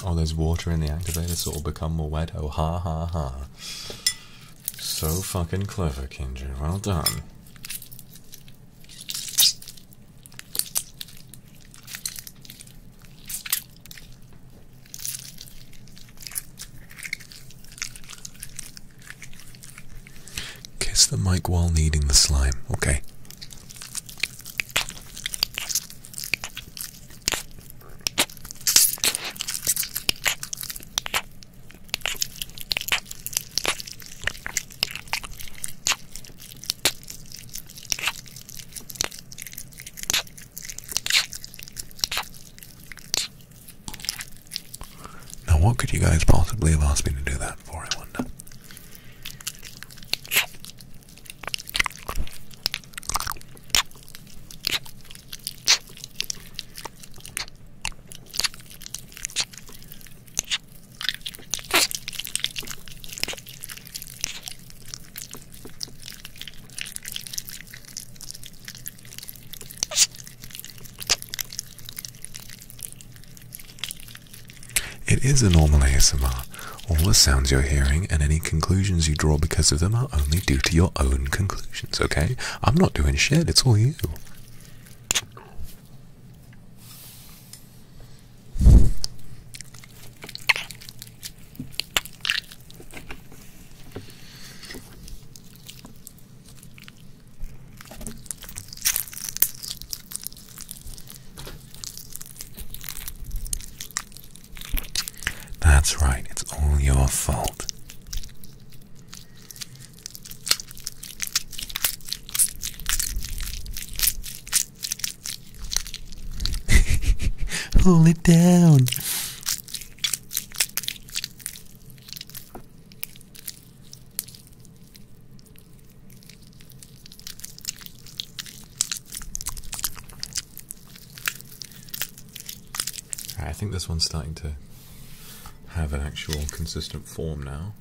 Oh, there's water in the activator, so it'll become more wet. Oh, ha ha ha. So fucking clever, Kinja. Well done. Kiss the mic while kneading the slime. Okay. Now, what could you guys possibly have asked me to do that for, I wonder? It is a normal ASMR. All the sounds you're hearing and any conclusions you draw because of them are only due to your own conclusions, okay? I'm not doing shit, it's all you. That's right, it's all your fault. Hold it down. I think this one's starting to have an actual consistent form now.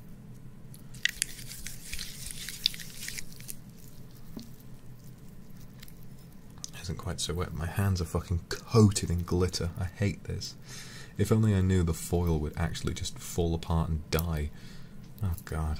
Isn't quite so wet. My hands are fucking coated in glitter. I hate this. If only I knew the foil would actually just fall apart and die. Oh god.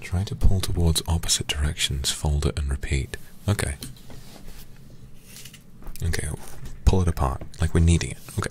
Try to pull towards opposite directions, fold it and repeat. Okay. Okay, pull it apart, like we're kneading it. Okay.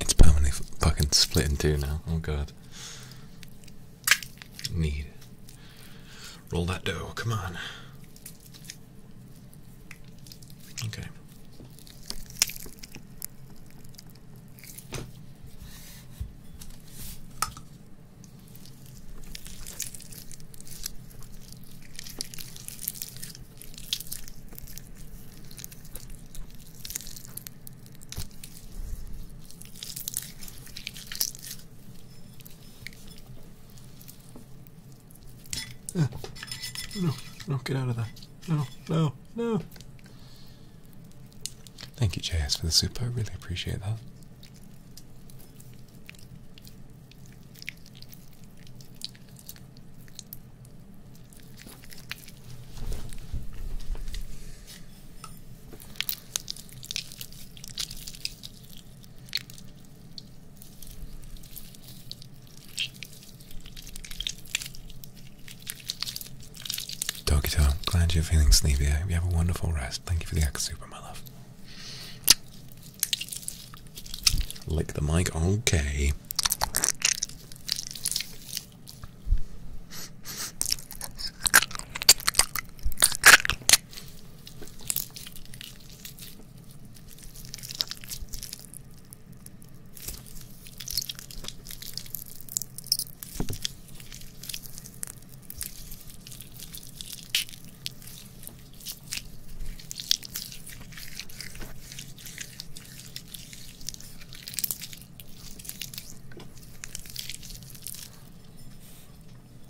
It's permanently fucking split in two now. Oh god. Need. Roll that dough, come on. Okay no, no, get out of there. No, no, no. Thank you, JS, for the soup. I really appreciate that. Dokito, i glad you're feeling sleepy. I have a wonderful rest. Thank you for the X Super, my love. Lick the mic, okay.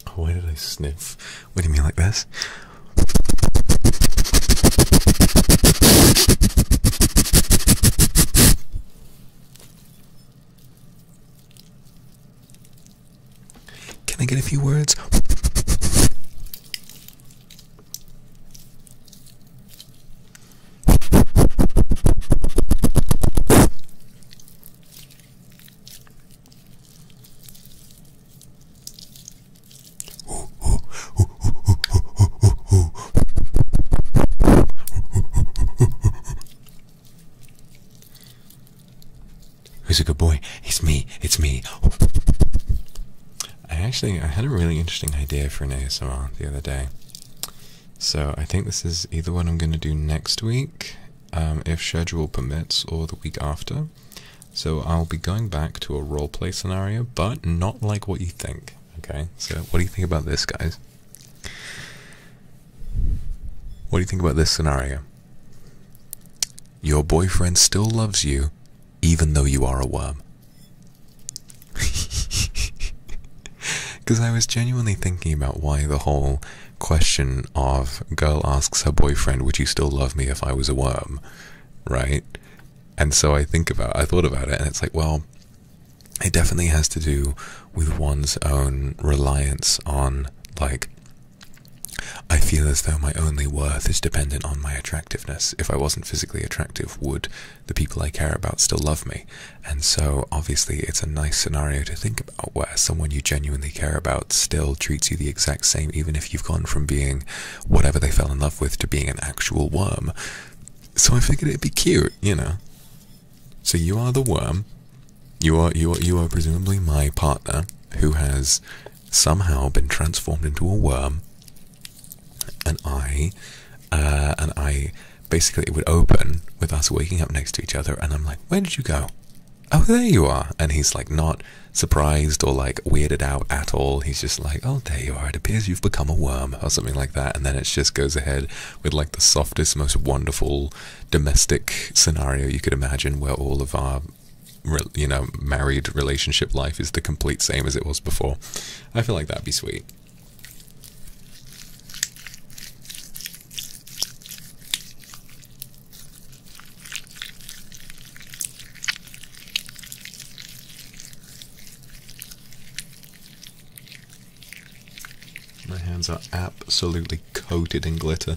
Oh, why did I sniff? What do you mean like this? Can I get a few words? Who's a good boy? It's me. It's me. I actually I had a really interesting idea for an ASMR the other day. So I think this is either what I'm going to do next week, um, if schedule permits, or the week after. So I'll be going back to a roleplay scenario, but not like what you think. Okay, so what do you think about this, guys? What do you think about this scenario? Your boyfriend still loves you, even though you are a worm. Because I was genuinely thinking about why the whole question of girl asks her boyfriend, Would you still love me if I was a worm? Right? And so I think about I thought about it and it's like, well, it definitely has to do with one's own reliance on like I feel as though my only worth is dependent on my attractiveness. If I wasn't physically attractive, would the people I care about still love me? And so, obviously, it's a nice scenario to think about where someone you genuinely care about still treats you the exact same, even if you've gone from being whatever they fell in love with to being an actual worm. So I figured it'd be cute, you know. So you are the worm, you are you are you are presumably my partner who has somehow been transformed into a worm, and I, uh, and I basically it would open with us waking up next to each other, and I'm like, where did you go? Oh, there you are. And he's like, not surprised or like weirded out at all. He's just like, oh, there you are. It appears you've become a worm or something like that. And then it just goes ahead with like the softest, most wonderful domestic scenario you could imagine where all of our you know, married relationship life is the complete same as it was before. I feel like that'd be sweet. My hands are absolutely coated in glitter.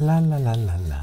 La la la la la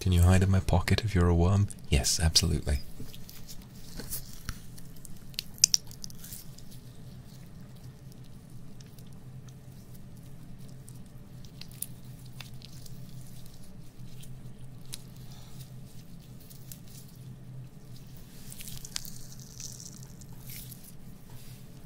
Can you hide in my pocket if you're a worm? Yes, absolutely.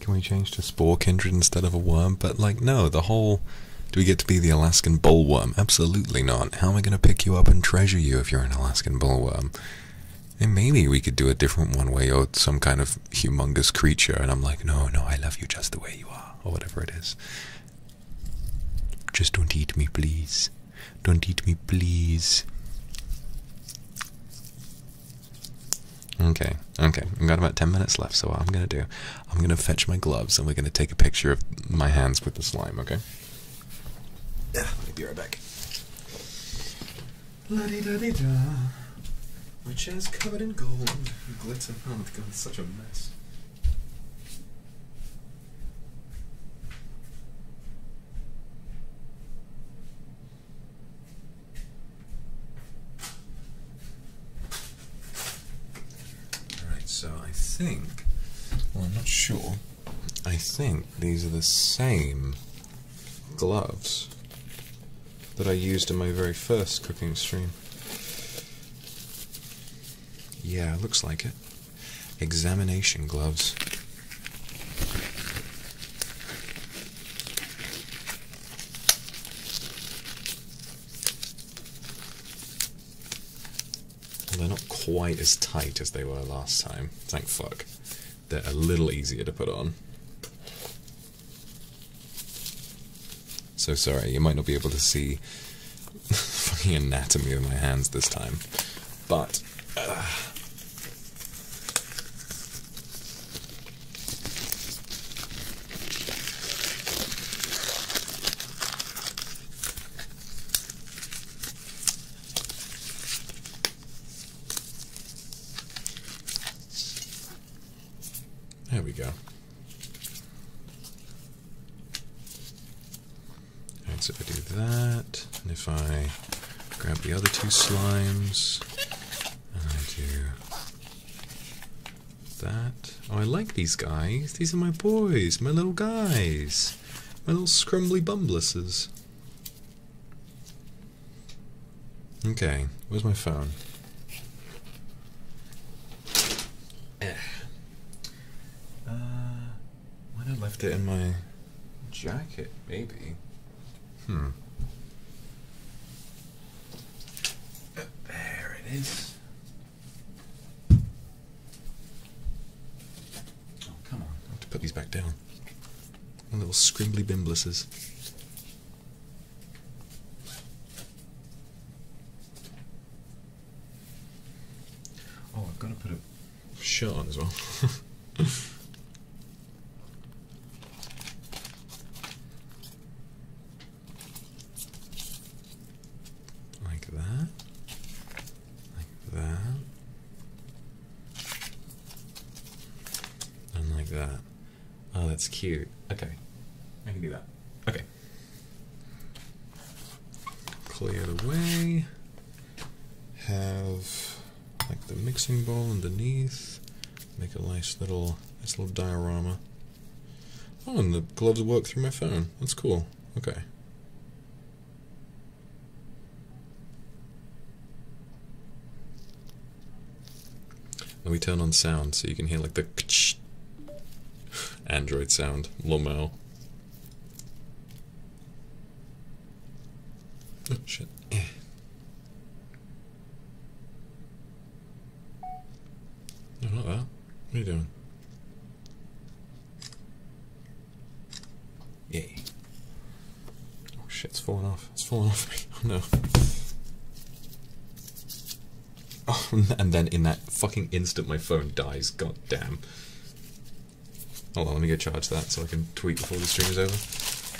Can we change to Spore Kindred instead of a worm? But, like, no, the whole. Do we get to be the Alaskan bullworm? Absolutely not. How am I going to pick you up and treasure you if you're an Alaskan bullworm? And maybe we could do a different one way you some kind of humongous creature, and I'm like, no, no, I love you just the way you are, or whatever it is. Just don't eat me, please. Don't eat me, please. Okay, okay. I've got about 10 minutes left, so what I'm gonna do, I'm gonna fetch my gloves and we're gonna take a picture of my hands with the slime, okay? Yeah, I'll be right back. La di da di da. My chair's covered in gold. Glitter. Oh my god, it's such a mess. Alright, so I think, well, I'm not sure, I think these are the same gloves that I used in my very first cooking stream. Yeah, looks like it. Examination gloves. Well, they're not quite as tight as they were last time, thank fuck. They're a little easier to put on. So sorry, you might not be able to see the fucking anatomy of my hands this time. But, uh, there we go. And so if I do that, and if I grab the other two slimes, and I do that. Oh, I like these guys. These are my boys, my little guys, my little scrumbly bumbluses. Okay, where's my phone? Eh. Uh, why did I left it in my jacket, maybe. Hmm. There it is. Oh, come on. I have to put these back down. My little scrimbly bimblisses. Oh, I've got to put it shirt on as well. like that. Like that. And like that. Oh, that's cute. Okay. I can do that. Okay. Clear the way. Have like the mixing bowl underneath. Make a nice little nice little diorama. Oh, and the gloves work through my phone. That's cool. Okay. Let me turn on sound so you can hear like the Android sound. Lomel. Oh shit. Eh not that. What are you doing? Yay. Oh shit, it's falling off. It's falling off me. Oh no. Oh, and then in that fucking instant my phone dies. God damn. Hold on, let me go charge that so I can tweet before the stream is over.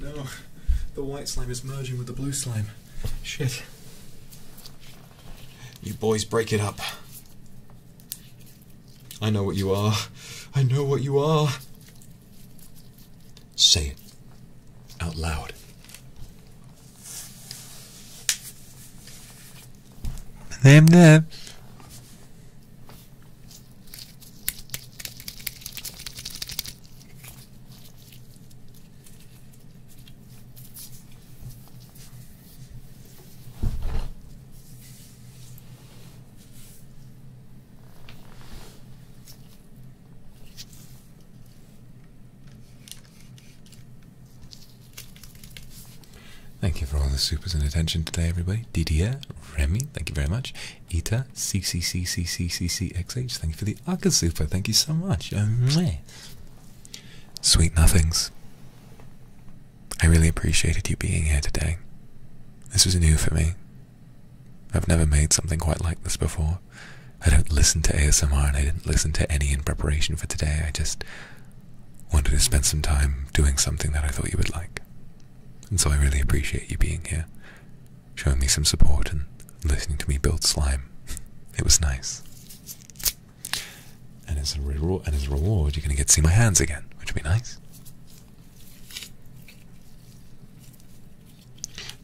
No, the white slime is merging with the blue slime. Shit. You boys break it up. I know what you are. I know what you are. Say it out loud. Them, them. Thank you for all the super attention today, everybody. Didier, Remy, thank you very much. Eta CCCCCCCXH, thank you for the agar soup. thank you so much. Oh, Sweet nothings. I really appreciated you being here today. This was new for me. I've never made something quite like this before. I don't listen to ASMR and I didn't listen to any in preparation for today. I just wanted to spend some time doing something that I thought you would like. And so I really appreciate you being here, showing me some support and listening to me build slime. It was nice. And as a reward, you're going to get to see my hands again, which would be nice.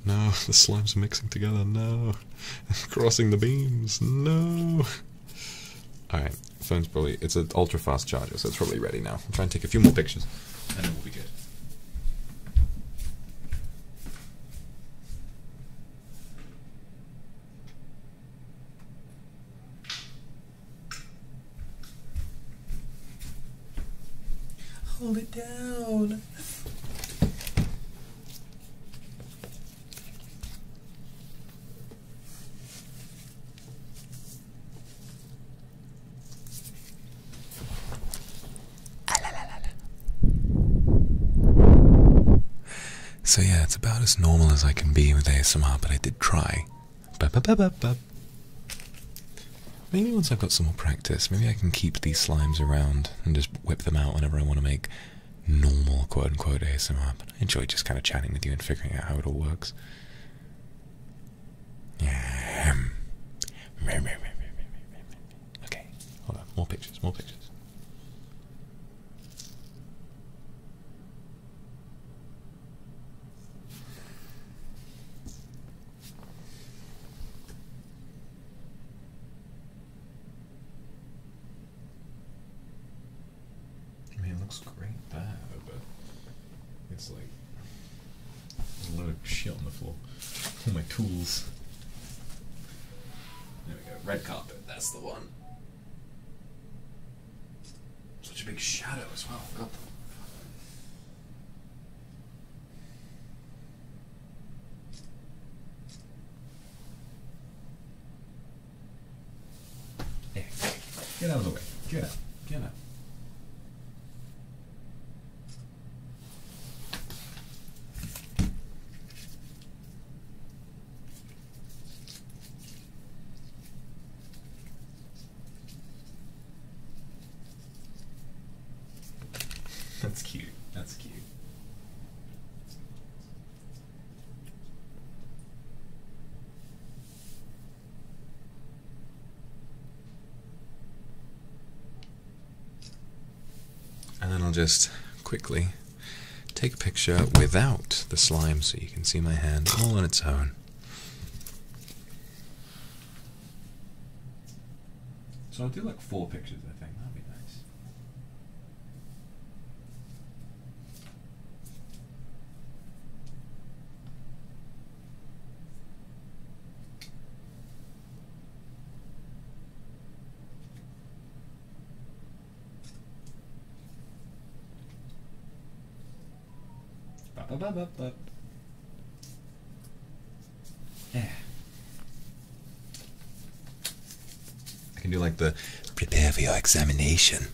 No, the slimes are mixing together. No, crossing the beams. No. All right, phone's probably it's an ultra fast charger, so it's probably ready now. I'll try and take a few more pictures and then we'll be good. Hold it down. Ah, so yeah, it's about as normal as I can be with ASMR, but I did try. Maybe once I've got some more practice, maybe I can keep these slimes around and just whip them out whenever I want to make normal quote unquote ASMR. But I enjoy just kind of chatting with you and figuring out how it all works. Um, okay, hold on. More pictures, more pictures. I mean, it looks great but it's like a lot of shit on the floor. All my tools. There we go. Red carpet. That's the one. Such a big shadow as well. God. Get out of the way. Get out. Get out. That's cute. That's cute. And then I'll just quickly take a picture without the slime so you can see my hand all on its own. So I'll do like four pictures, I think. That'd be nice. Bup, bup, bup, bup. Yeah. I can do like the prepare for your examination.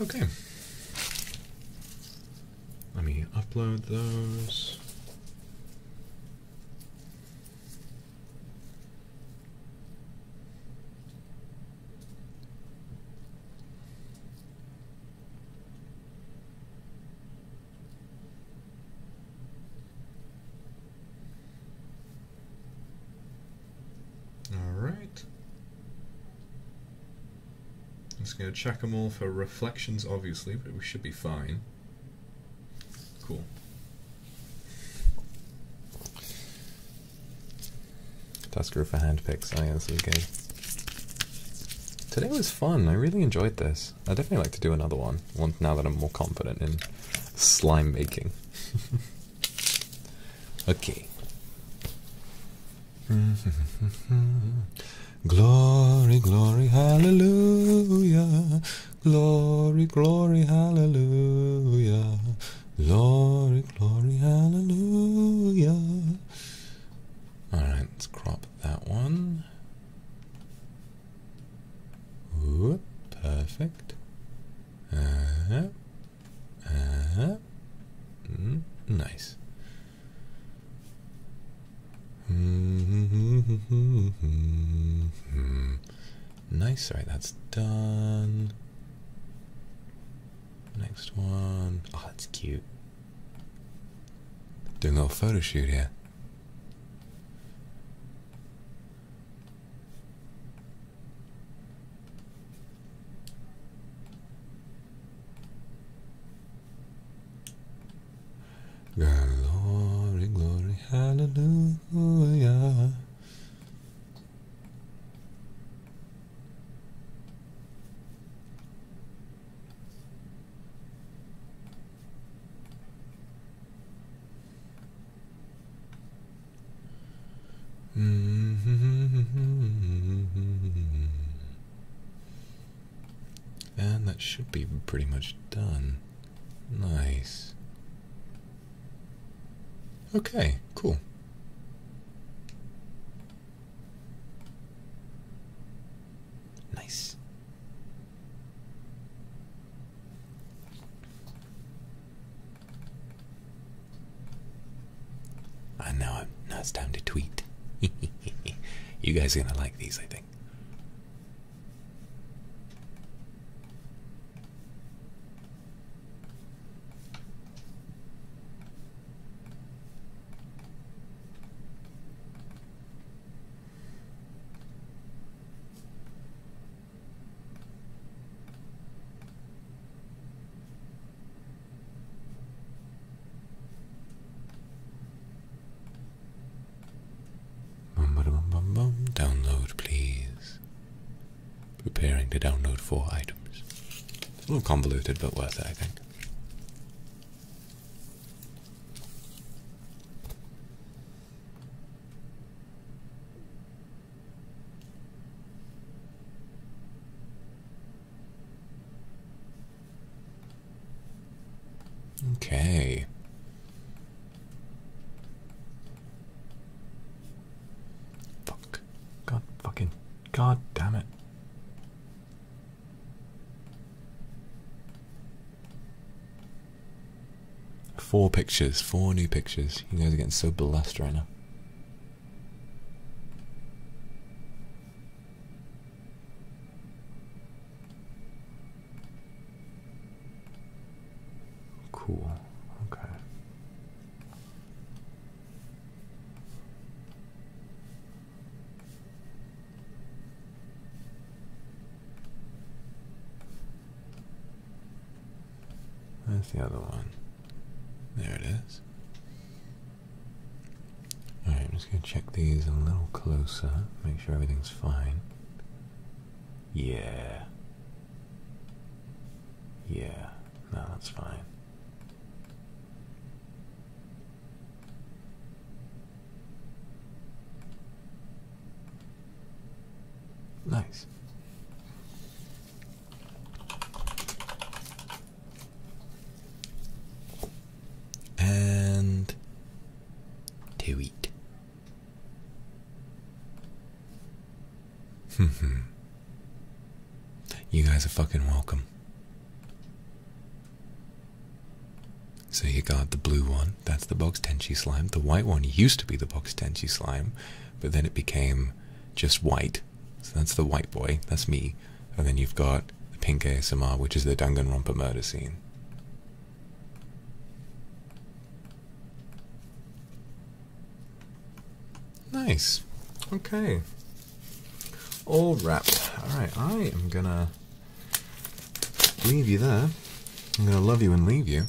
Okay. Let me upload those. Alright. Just gonna check them all for reflections, obviously, but we should be fine. Cool. Tasker for hand picks. I oh, yeah, this good. Today was fun. I really enjoyed this. I definitely like to do another one. One now that I'm more confident in slime making. okay. glory, glory, hallelujah. Glory, glory, hallelujah. Glory, glory, hallelujah. Alright, let's crop that one perfect. Uh, uh, mm, nice. Hmm, nice, right, that's done. Next one. Oh, that's cute. Doing a little photo shoot here. Glory, glory, hallelujah. And that should be pretty much done. Nice. Okay, cool. Nice. I know I'm, now it's time to tweet. you guys are gonna like these, I think. Download, please. Preparing to download four items. It's A little convoluted, but worth it, I think. Okay. Fuck. God fucking. God damn it. Four pictures, four new pictures. You guys are getting so blessed right now. Cool. Okay. Where's the other one? There it is. Alright, I'm just going to check these a little closer, make sure everything's fine. Yeah. Yeah, no, that's fine. Nice. And to eat. you guys are fucking welcome. So you got the blue one, that's the box tenchi slime. The white one used to be the box tenchi slime, but then it became just white. So that's the white boy, that's me. And then you've got the pink ASMR, which is the Danganronpa murder scene. Nice. Okay. All wrapped. Alright, I am gonna leave you there. I'm gonna love you and leave you.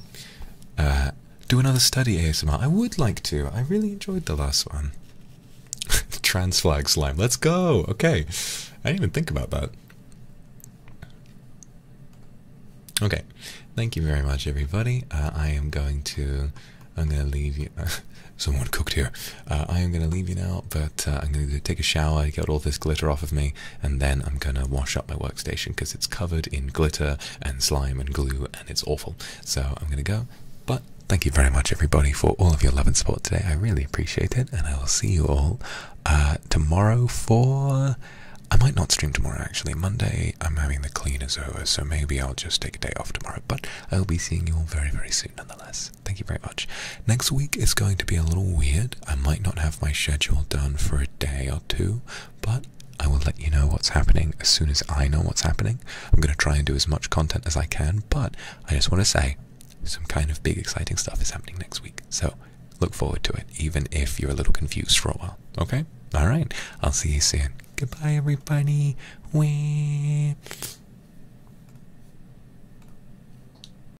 Uh, do another study ASMR. I would like to. I really enjoyed the last one. Trans flag slime. Let's go. Okay. I didn't even think about that. Okay. Thank you very much, everybody. Uh, I am going to. I'm gonna leave you. Someone cooked here. Uh, I am gonna leave you now, but I'm gonna take a shower, get all this glitter off of me, and then I'm gonna wash up my workstation because it's covered in glitter and slime and glue and it's awful. So I'm gonna go. But thank you very much, everybody, for all of your love and support today. I really appreciate it, and I will see you all uh, tomorrow for. I might not stream tomorrow actually. Monday, I'm having the cleaners over, so maybe I'll just take a day off tomorrow. But I'll be seeing you all very, very soon nonetheless. Thank you very much. Next week is going to be a little weird. I might not have my schedule done for a day or two, but I will let you know what's happening as soon as I know what's happening. I'm going to try and do as much content as I can, but I just want to say some kind of big exciting stuff is happening next week. So look forward to it, even if you're a little confused for a while. Okay? All right. I'll see you soon. Goodbye, everybody. Wee.